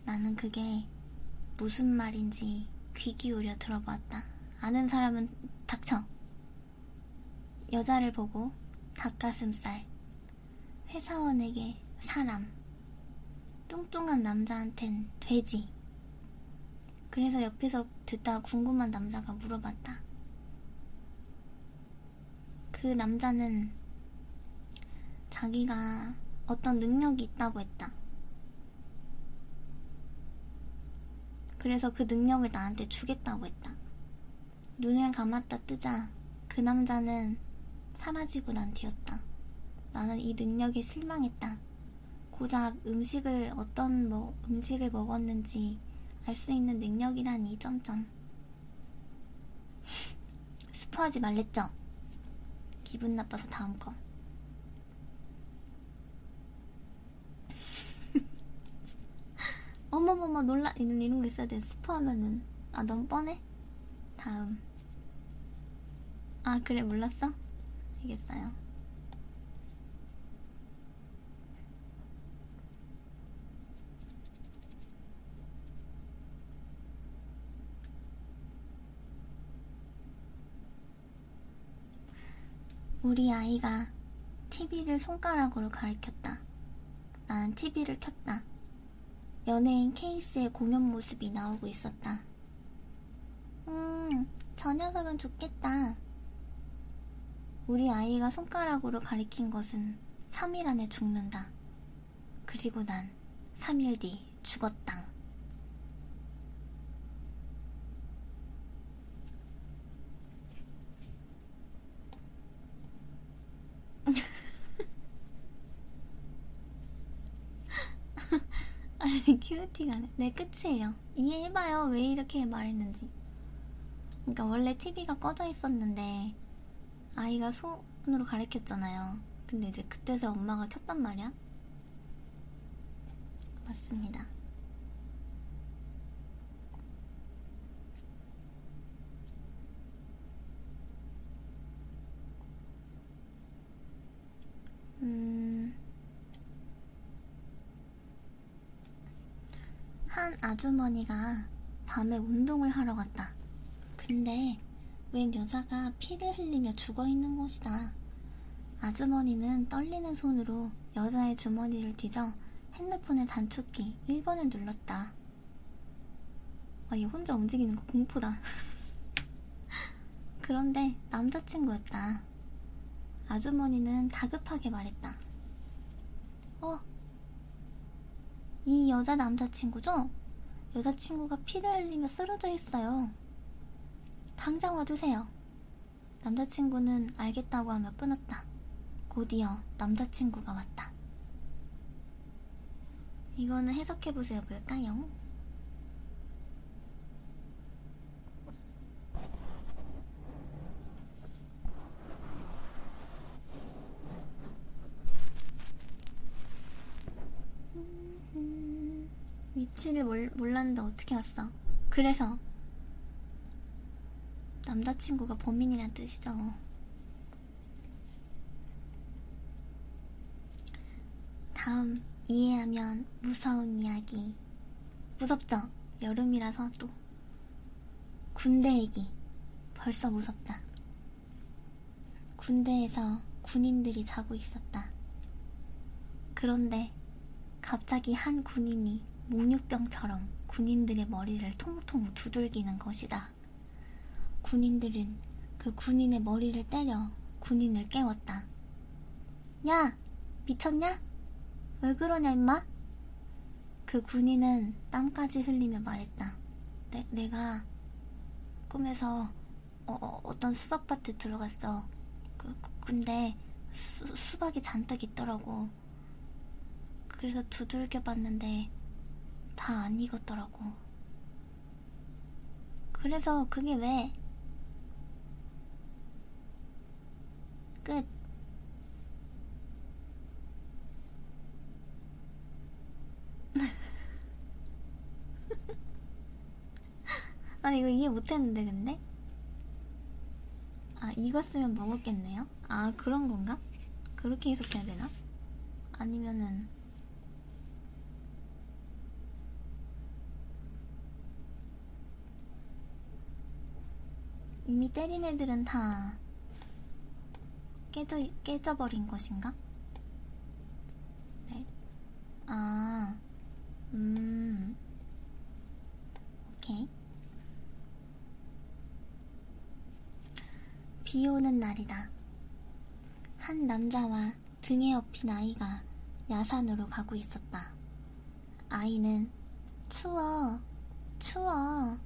나는 그게 무슨 말인지 귀 기울여 들어보았다. 아는 사람은 닥쳐. 여자를 보고 닭가슴살, 회사원에게 사람, 뚱뚱한 남자한텐 돼지. 그래서 옆에서 듣다 궁금한 남자가 물어봤다. 그 남자는 자기가 어떤 능력이 있다고 했다. 그래서 그 능력을 나한테 주겠다고 했다. 눈을 감았다 뜨자 그 남자는 사라지고 난 뒤였다. 나는 이 능력에 실망했다. 고작 음식을 어떤 뭐 음식을 먹었는지 알 수 있는 능력이라니 점점 스포하지 말랬죠? 기분 나빠서 다음 거 어머머머 놀라 이런, 이런 거 있어야 돼. 스포하면은 아 너무 뻔해. 다음. 아 그래 몰랐어? 알겠어요. 우리 아이가 TV를 손가락으로 가리켰다. 난 TV를 켰다. 연예인 케이스의 공연 모습이 나오고 있었다. 음, 저 녀석은 좋겠다. 우리 아이가 손가락으로 가리킨 것은 3일 안에 죽는다. 그리고 난 3일 뒤 죽었다. 아니 큐티가 아니라 네 끝이에요 이해해봐요 왜 이렇게 말했는지 그러니까 원래 TV가 꺼져 있었는데 아이가 손으로 가리켰잖아요 근데 이제 그때서 엄마가 켰단 말이야 맞습니다 음, 한 아주머니가 밤에 운동을 하러 갔다. 근데 웬 여자가 피를 흘리며 죽어 있는 것이다. 아주머니는 떨리는 손으로 여자의 주머니를 뒤져 핸드폰의 단축키 1번을 눌렀다. 아얘 혼자 움직이는 거 공포다. 그런데 남자친구였다. 아주머니는 다급하게 말했다. 어, 이 여자 남자친구죠? 여자친구가 피를 흘리며 쓰러져 있어요. 당장 와주세요. 남자친구는 알겠다고 하며 끊었다. 곧이어 남자친구가 왔다. 이거는 해석해보세요. 뭘까요? 위치를 몰, 몰랐는데 어떻게 왔어? 그래서 남자친구가 범인이란 뜻이죠. 다음 이해하면 무서운 이야기 무섭죠? 여름이라서 또 군대 얘기 벌써 무섭다 군대에서 군인들이 자고 있었다 그런데 갑자기 한 군인이 목욕병처럼 군인들의 머리를 통통 두들기는 것이다 있었다. 군인들은 그 군인의 머리를 때려 군인을 깨웠다. 야! 미쳤냐? 왜 그러냐, 임마? 그 군인은 땀까지 흘리며 말했다. 내, 내가 꿈에서 어, 어 어떤 수박밭에 들어갔어. 그, 그, 근데 수, 수박이 잔뜩 있더라고. 그래서 두들겨 봤는데 다 안 익었더라고. 그래서 그게 왜? 끝. 아니 이거 이해 못했는데 근데? 아 익었으면 먹었겠네. 거예요? 아 그런 건가? 그렇게 해석해야 되나? 아니면은 이미 때린 애들은 다 깨져, 깨져버린 것인가? 네. 아, 음. 오케이. 비 오는 날이다. 한 남자와 등에 업힌 아이가 야산으로 가고 있었다. 아이는 추워, 추워,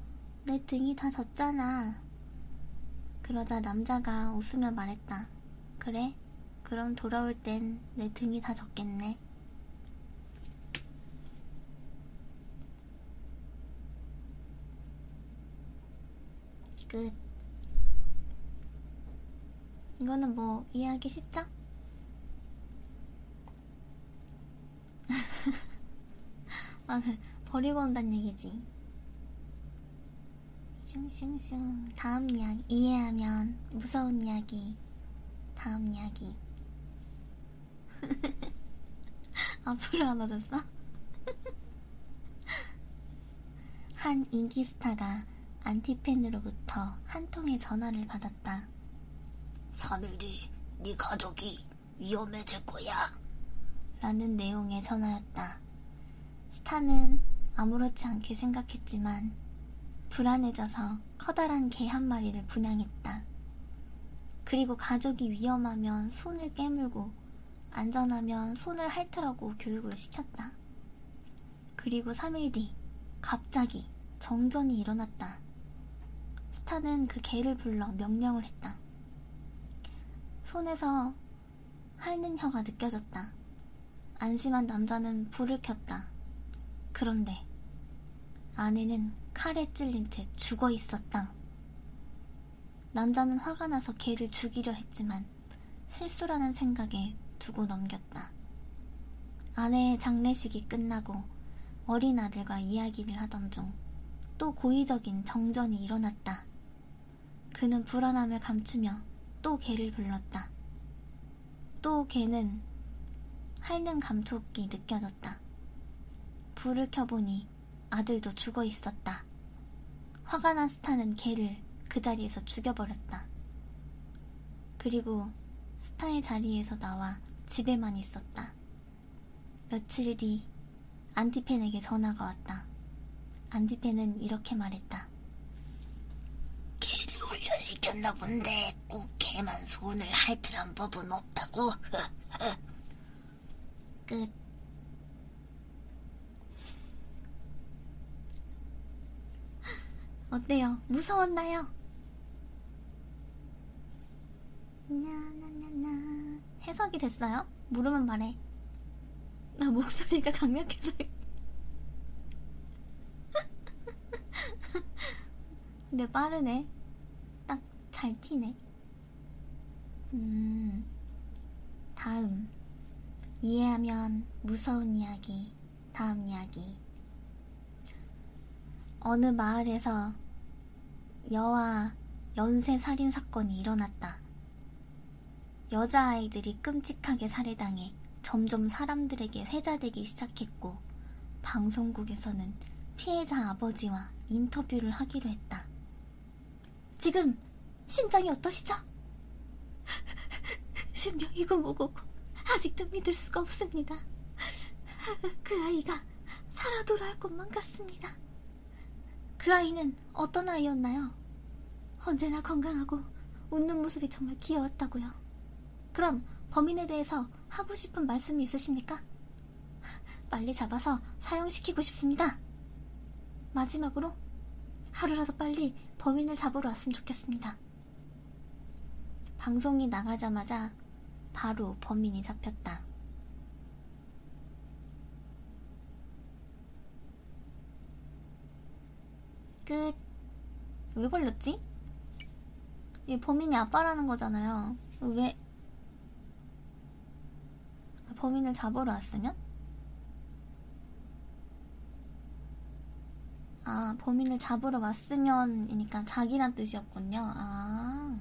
내 등이 다 젖잖아. 그러자 남자가 웃으며 말했다. 그래, 그럼 돌아올 땐 내 등이 다 젖겠네. 끝. 이거는 뭐 이해하기 쉽죠? 아, 그, 버리고 온다는 얘기지. 슝슝슝. 다음 이야기. 이해하면 무서운 이야기. 다음 이야기. 앞으로 안 얻었어? 한 인기스타가 안티팬으로부터 한 통의 전화를 받았다. 3일 뒤 네 가족이 위험해질 거야. 라는 내용의 전화였다. 스타는 아무렇지 않게 생각했지만 불안해져서 커다란 개 한 마리를 분양했다. 그리고 가족이 위험하면 손을 깨물고 안전하면 손을 핥으라고 교육을 시켰다. 그리고 3일 뒤 갑자기 정전이 일어났다. 스타는 그 개를 불러 명령을 했다. 손에서 핥는 혀가 느껴졌다. 안심한 남자는 불을 켰다. 그런데 아내는 칼에 찔린 채 죽어 있었다. 남자는 화가 나서 개를 죽이려 했지만 실수라는 생각에 두고 넘겼다. 아내의 장례식이 끝나고 어린 아들과 이야기를 하던 중 또 고의적인 정전이 일어났다. 그는 불안함을 감추며 또 개를 불렀다. 또 개는 핥는 감촉이 느껴졌다. 불을 켜보니 아들도 죽어 있었다. 화가 난 스타는 걔를 그 자리에서 죽여버렸다. 그리고 스타의 자리에서 나와 집에만 있었다. 며칠 뒤 안디펜에게 전화가 왔다. 안디펜은 이렇게 말했다. 걔를 훈련시켰나 본데 꼭 걔만 손을 핥으란 법은 없다고. 끝. 어때요? 무서웠나요? 나나나나 해석이 됐어요? 모르면 말해. 나 목소리가 강력해서. 근데 빠르네. 딱 잘 튀네. 음, 다음. 이해하면 무서운 이야기, 다음 이야기. 어느 마을에서 여와 연쇄 살인 사건이 일어났다. 여자아이들이 끔찍하게 살해당해 점점 사람들에게 회자되기 시작했고, 방송국에서는 피해자 아버지와 인터뷰를 하기로 했다. 지금 심장이 어떠시죠? 신병이고 뭐고고 아직도 믿을 수가 없습니다. 그 아이가 살아 돌아올 것만 같습니다. 그 아이는 어떤 아이였나요? 언제나 건강하고 웃는 모습이 정말 귀여웠다고요. 그럼 범인에 대해서 하고 싶은 말씀이 있으십니까? 빨리 잡아서 사형시키고 싶습니다. 마지막으로 하루라도 빨리 범인을 잡으러 왔으면 좋겠습니다. 방송이 나가자마자 바로 범인이 잡혔다. 끝. 왜 걸렸지? 이 범인이 아빠라는 거잖아요. 왜? 그 범인을 잡으러 왔으면? 아, 범인을 잡으러 왔으면이니까 자기란 뜻이었군요. 아,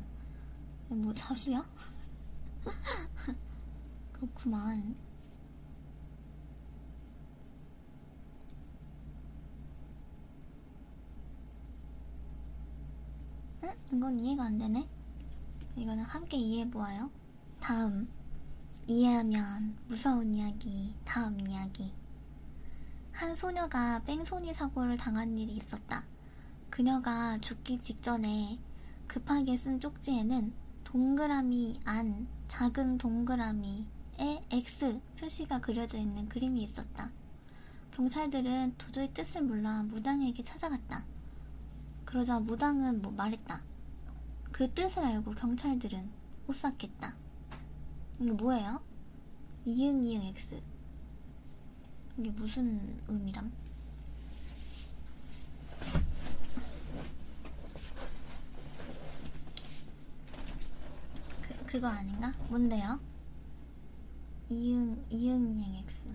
뭐 자수야? 그렇구만. 응? 이건 이해가 안 되네. 이거는 함께 이해해보아요. 다음. 이해하면 무서운 이야기, 다음 이야기. 한 소녀가 뺑소니 사고를 당한 일이 있었다. 그녀가 죽기 직전에 급하게 쓴 쪽지에는 동그라미 안, 작은 동그라미에 X 표시가 그려져 있는 그림이 있었다. 경찰들은 도저히 뜻을 몰라 무당에게 찾아갔다. 그러자 무당은 뭐 말했다. 그 뜻을 알고 경찰들은 오싹했다. 이게 뭐예요? 이응 이응 X. 이게 무슨 의미람? 그, 그거 아닌가? 뭔데요? 이응 이응 이응 X.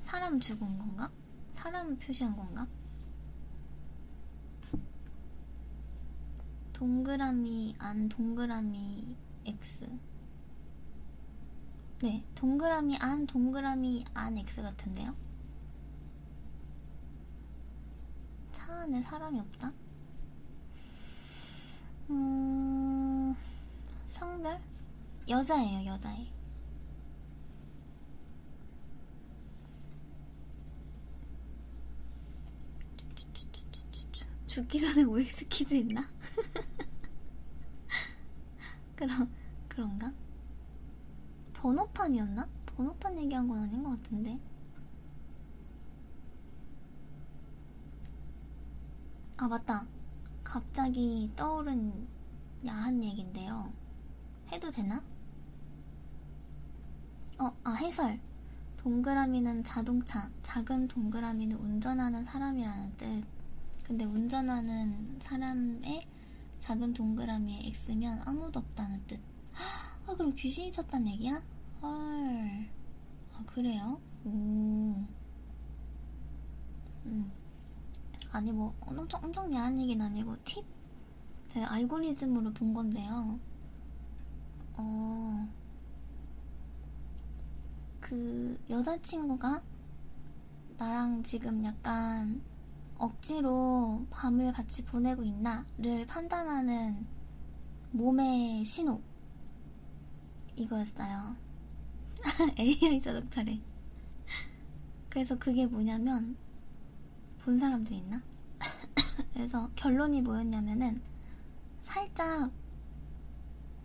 사람 죽은 건가? 사람을 표시한 건가? 동그라미 안 동그라미 X 네 동그라미 안 동그라미 안 X 같은데요? 차 안에 사람이 없다? 음... 성별? 여자예요, 여자애. 죽기 전에 OX 퀴즈 있나? 그럼, 그런가? 번호판이었나? 번호판 얘기한 건 아닌 것 같은데. 아, 맞다. 갑자기 떠오른 야한 얘긴데요. 해도 되나? 어, 아, 해설. 동그라미는 자동차, 작은 동그라미는 운전하는 사람이라는 뜻. 근데 운전하는 사람의 작은 동그라미에 X면 아무도 없다는 뜻. 아, 그럼 귀신이 쳤단 얘기야? 헐. 아, 그래요? 오. 음. 아니 뭐 엄청 엄청 야한 얘기는 아니고 팁? 제 알고리즘으로 본 건데요. 어, 그 여자친구가 나랑 지금 약간 억지로 밤을 같이 보내고 있나를 판단하는 몸의 신호 이거였어요. AI 자동차래. 그래서 그게 뭐냐면 본 사람도 있나? 그래서 결론이 뭐였냐면은 살짝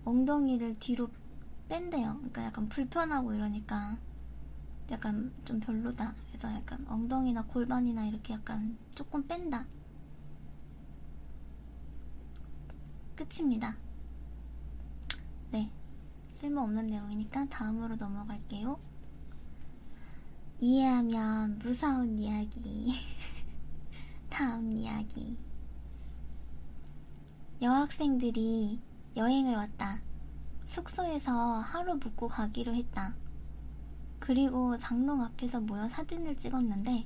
엉덩이를 뒤로 뺀대요. 그러니까 약간 불편하고 이러니까 약간 좀 별로다. 그래서 약간 엉덩이나 골반이나 이렇게 약간 조금 뺀다. 끝입니다. 네. 쓸모없는 내용이니까 다음으로 넘어갈게요. 이해하면 무서운 이야기. 다음 이야기. 여학생들이 여행을 왔다. 숙소에서 하루 묵고 가기로 했다. 그리고 장롱 앞에서 모여 사진을 찍었는데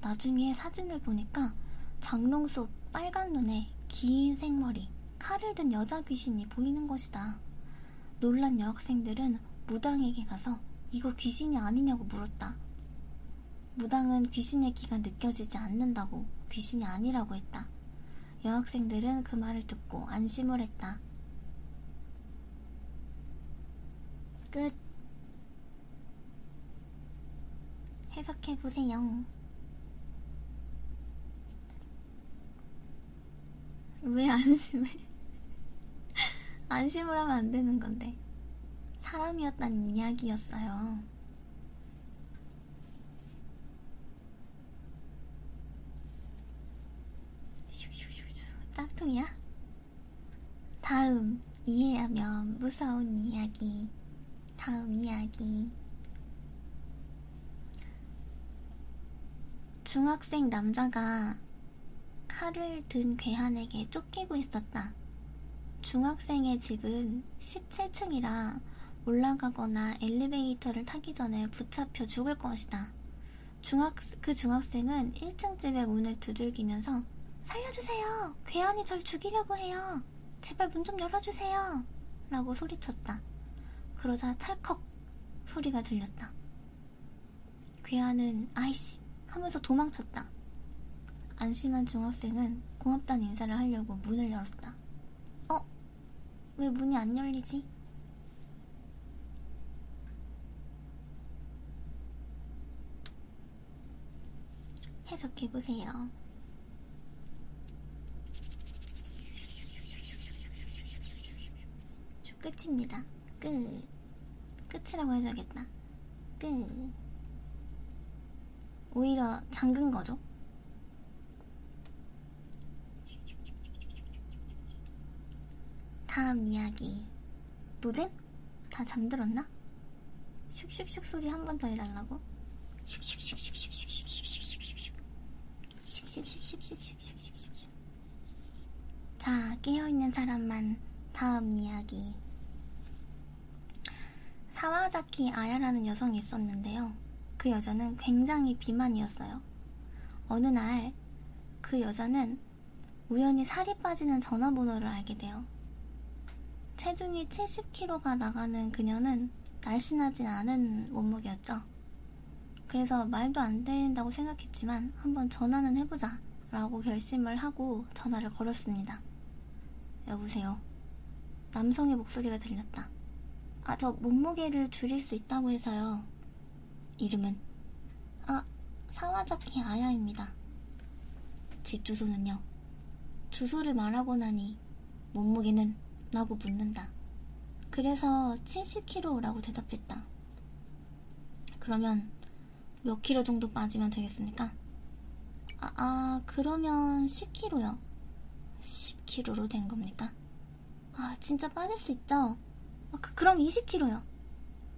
나중에 사진을 보니까 장롱 속 빨간 눈에 앞에 긴 생머리, 칼을 든 여자 귀신이 보이는 것이다. 놀란 여학생들은 무당에게 가서 이거 귀신이 아니냐고 물었다. 무당은 귀신의 기가 느껴지지 않는다고 귀신이 아니라고 했다. 여학생들은 그 말을 듣고 안심을 했다. 끝. 해석해보세요. 왜 안심해? 안심을 하면 안 되는 건데. 사람이었다는 이야기였어요. 짬통이야? 다음, 이해하면 무서운 이야기. 다음 이야기. 중학생 남자가 칼을 든 괴한에게 쫓기고 있었다. 중학생의 집은 17층이라 올라가거나 엘리베이터를 타기 전에 붙잡혀 죽을 것이다. 중학, 그 중학생은 1층 집의 문을 두들기면서 살려주세요! 괴한이 절 죽이려고 해요! 제발 문 좀 열어주세요! 라고 소리쳤다. 그러자 찰컥 소리가 들렸다. 괴한은 아이씨! 하면서 도망쳤다. 안심한 중학생은 고맙다는 인사를 하려고 문을 열었다. 어? 왜 문이 안 열리지? 해석해보세요. 저 끝입니다. 끝. 끝이라고 해줘야겠다. 끝. 오히려 잠근 거죠? 다음 이야기. 노잼? 다 잠들었나? 슉슉슉 소리 한 번 더 해달라고? 자, 깨어있는 사람만 다음 이야기. 사와자키 아야라는 여성이 있었는데요. 그 여자는 굉장히 비만이었어요. 어느 날 그 여자는 우연히 살이 빠지는 전화번호를 알게 돼요. 체중이 70kg가 나가는 그녀는 날씬하진 않은 몸무게였죠. 그래서 말도 안 된다고 생각했지만 한번 전화는 해보자 라고 결심을 하고 전화를 걸었습니다. 여보세요. 남성의 목소리가 들렸다. 아, 저 몸무게를 줄일 수 있다고 해서요. 이름은? 아, 사와자키 아야입니다. 집 주소는요? 주소를 말하고 나니 물으니 몸무게는? 라고 묻는다. 그래서 70kg라고 대답했다. 그러면 몇 킬로 정도 빠지면 되겠습니까? 아, 아 그러면 10kg요. 10kg로 된 겁니까? 아, 진짜 빠질 수 있죠? 아, 그, 그럼 20kg요.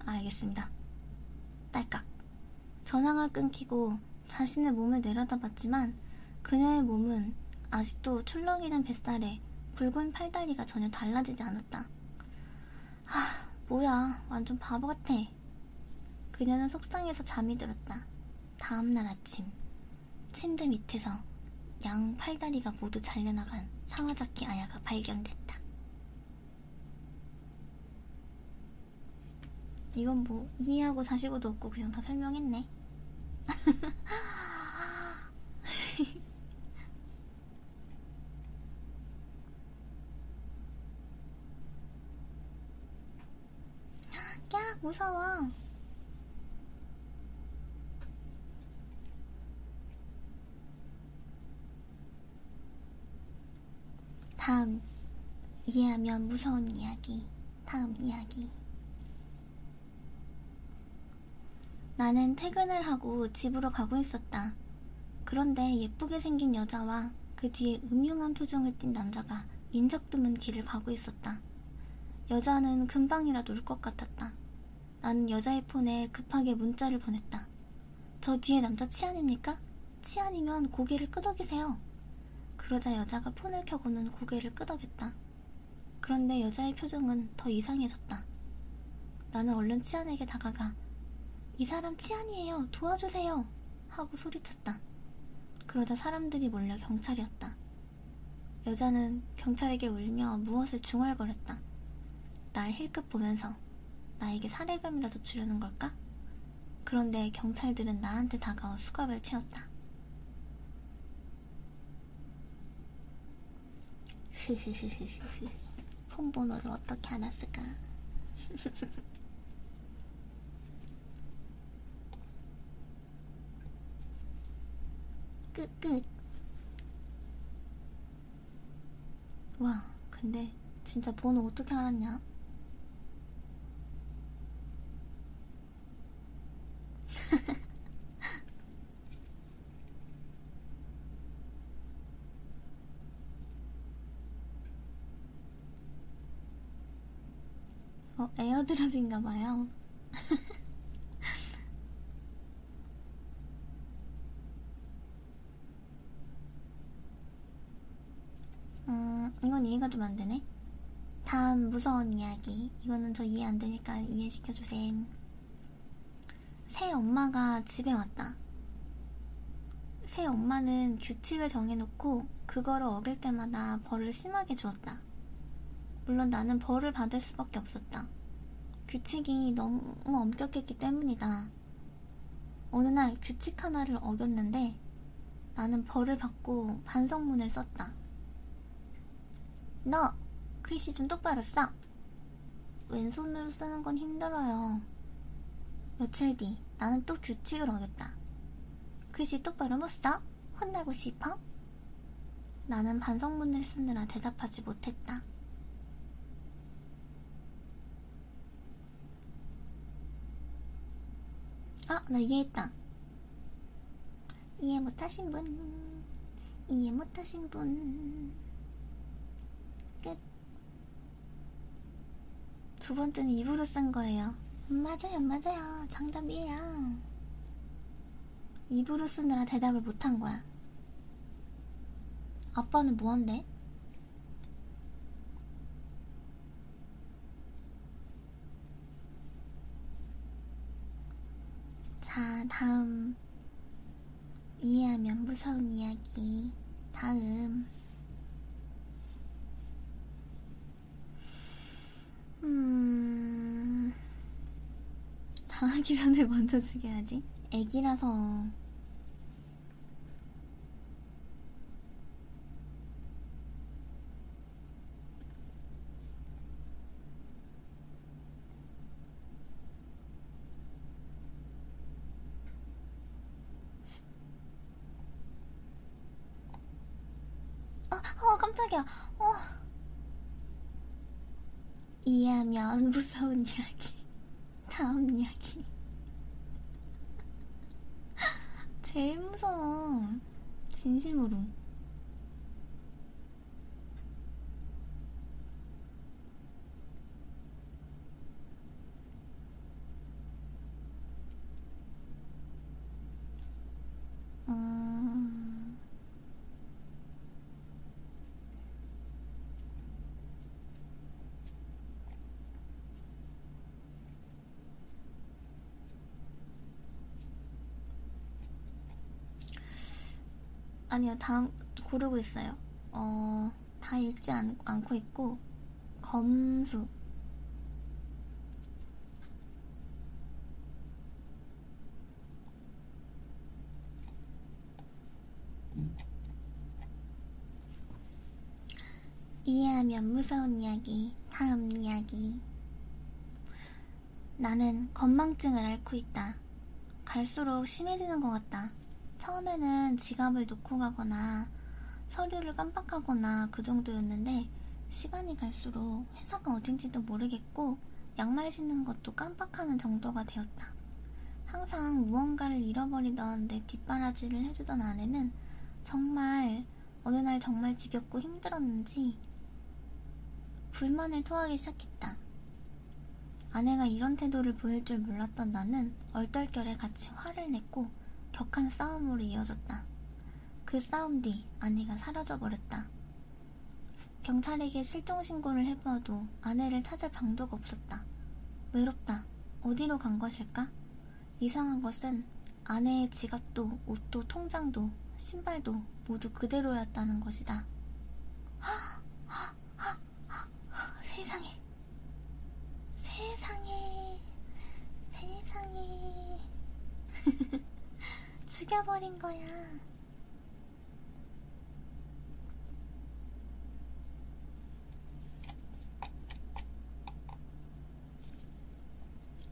알겠습니다. 딸깍. 전화가 끊기고 자신의 몸을 내려다봤지만 그녀의 몸은 아직도 출렁이는 뱃살에 굵은 팔다리가 전혀 달라지지 않았다. 아, 뭐야, 완전 바보 같아. 그녀는 속상해서 잠이 들었다. 다음날 아침, 침대 밑에서 양 팔다리가 모두 잘려나간 사와자키 아야가 발견됐다. 이건 뭐 이해하고 자시고도 없고 그냥 다 설명했네. 야 무서워. 다음 이해하면 무서운 이야기. 다음 이야기. 나는 퇴근을 하고 집으로 가고 있었다. 그런데 예쁘게 생긴 여자와 그 뒤에 음흉한 표정을 띤 남자가 인적 드문 길을 가고 있었다. 여자는 금방이라도 울 것 같았다. 나는 여자의 폰에 급하게 문자를 보냈다. 저 뒤에 남자 치안입니까? 치안이면 고개를 끄덕이세요. 그러자 여자가 폰을 켜고는 고개를 끄덕였다. 그런데 여자의 표정은 더 이상해졌다. 나는 얼른 치안에게 다가가 이 사람 치안이에요. 도와주세요. 하고 소리쳤다. 그러다 사람들이 몰려 경찰이었다. 여자는 경찰에게 울며 무엇을 중얼거렸다. 나의 힐끗 보면서 나에게 살해금이라도 주려는 걸까? 그런데 경찰들은 나한테 다가와 수갑을 채웠다. 폰 번호를 어떻게 알았을까? 끝끝. 와, 근데 진짜 번호 어떻게 알았냐? 어, 에어드랍인가봐요. 음, 이건 이해가 좀안 되네. 다음 무서운 이야기. 이거는 저 이해 안 되니까 이해시켜주세요. 새 엄마가 집에 왔다. 새 엄마는 규칙을 정해놓고 그거를 어길 때마다 벌을 심하게 주었다. 물론 나는 벌을 받을 수밖에 없었다. 규칙이 너무 엄격했기 때문이다. 어느 날 규칙 하나를 어겼는데 나는 벌을 받고 반성문을 썼다. 너! 글씨 좀 똑바로 써! 왼손으로 쓰는 건 힘들어요. 며칠 뒤 나는 또 규칙을 어겼다. 글씨 똑바로 못 써? 혼나고 싶어? 나는 반성문을 쓰느라 대답하지 못했다. 아, 나 이해했다. 이해 못하신 분 이해 못하신 분끝두 번째는 입으로 쓴 거예요 음, 맞아요 맞아요 정답이에요 입으로 쓰느라 대답을 못한 거야 아빠는 뭐한대? 자, 다음. 이해하면 무서운 이야기. 다음. 음. 당하기 전에 먼저 죽여야지. 애기라서. 어, 어 깜짝이야. 어. 이해하면 무서운 이야기. 다음 이야기. 제일 무서워. 거야. 진심으로. 음... 아니요, 다음 고르고 있어요. 어, 다 읽지 않, 않고 있고, 검수. 이해하면 무서운 이야기, 다음 이야기. 나는 건망증을 앓고 있다. 갈수록 심해지는 것 같다. 처음에는 지갑을 놓고 가거나 서류를 깜빡하거나 그 정도였는데 시간이 갈수록 회사가 어딘지도 모르겠고 양말 신는 것도 깜빡하는 정도가 되었다. 항상 무언가를 잃어버리던 내 뒷바라지를 해주던 아내는 정말 어느 날 정말 지겹고 힘들었는지 불만을 토하기 시작했다. 아내가 이런 태도를 보일 줄 몰랐던 나는 얼떨결에 같이 화를 냈고 격한 싸움으로 이어졌다. 그 싸움 뒤 아내가 사라져버렸다. 경찰에게 실종신고를 해봐도 아내를 찾을 방도가 없었다. 외롭다. 어디로 간 것일까? 이상한 것은 아내의 지갑도 옷도 통장도 신발도 모두 그대로였다는 것이다. 세상에, 세상에, 세상에. 죽여버린 거야.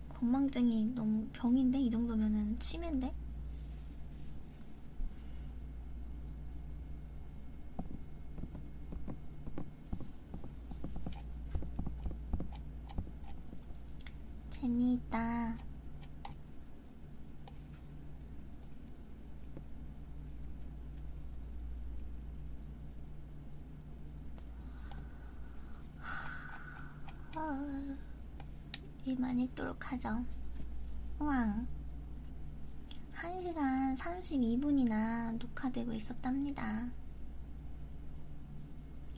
건망증이 너무 병인데? 이 정도면은 치매인데? 재미있다. 아, 일만 있도록 하죠. 왕. 1시간 32분이나 녹화되고 있었답니다.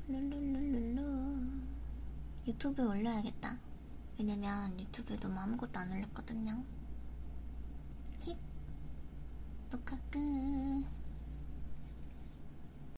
룰루룰루루. 유튜브에 올려야겠다. 왜냐면 유튜브에 너무 아무것도 안 올렸거든요. 힙. 녹화 끝.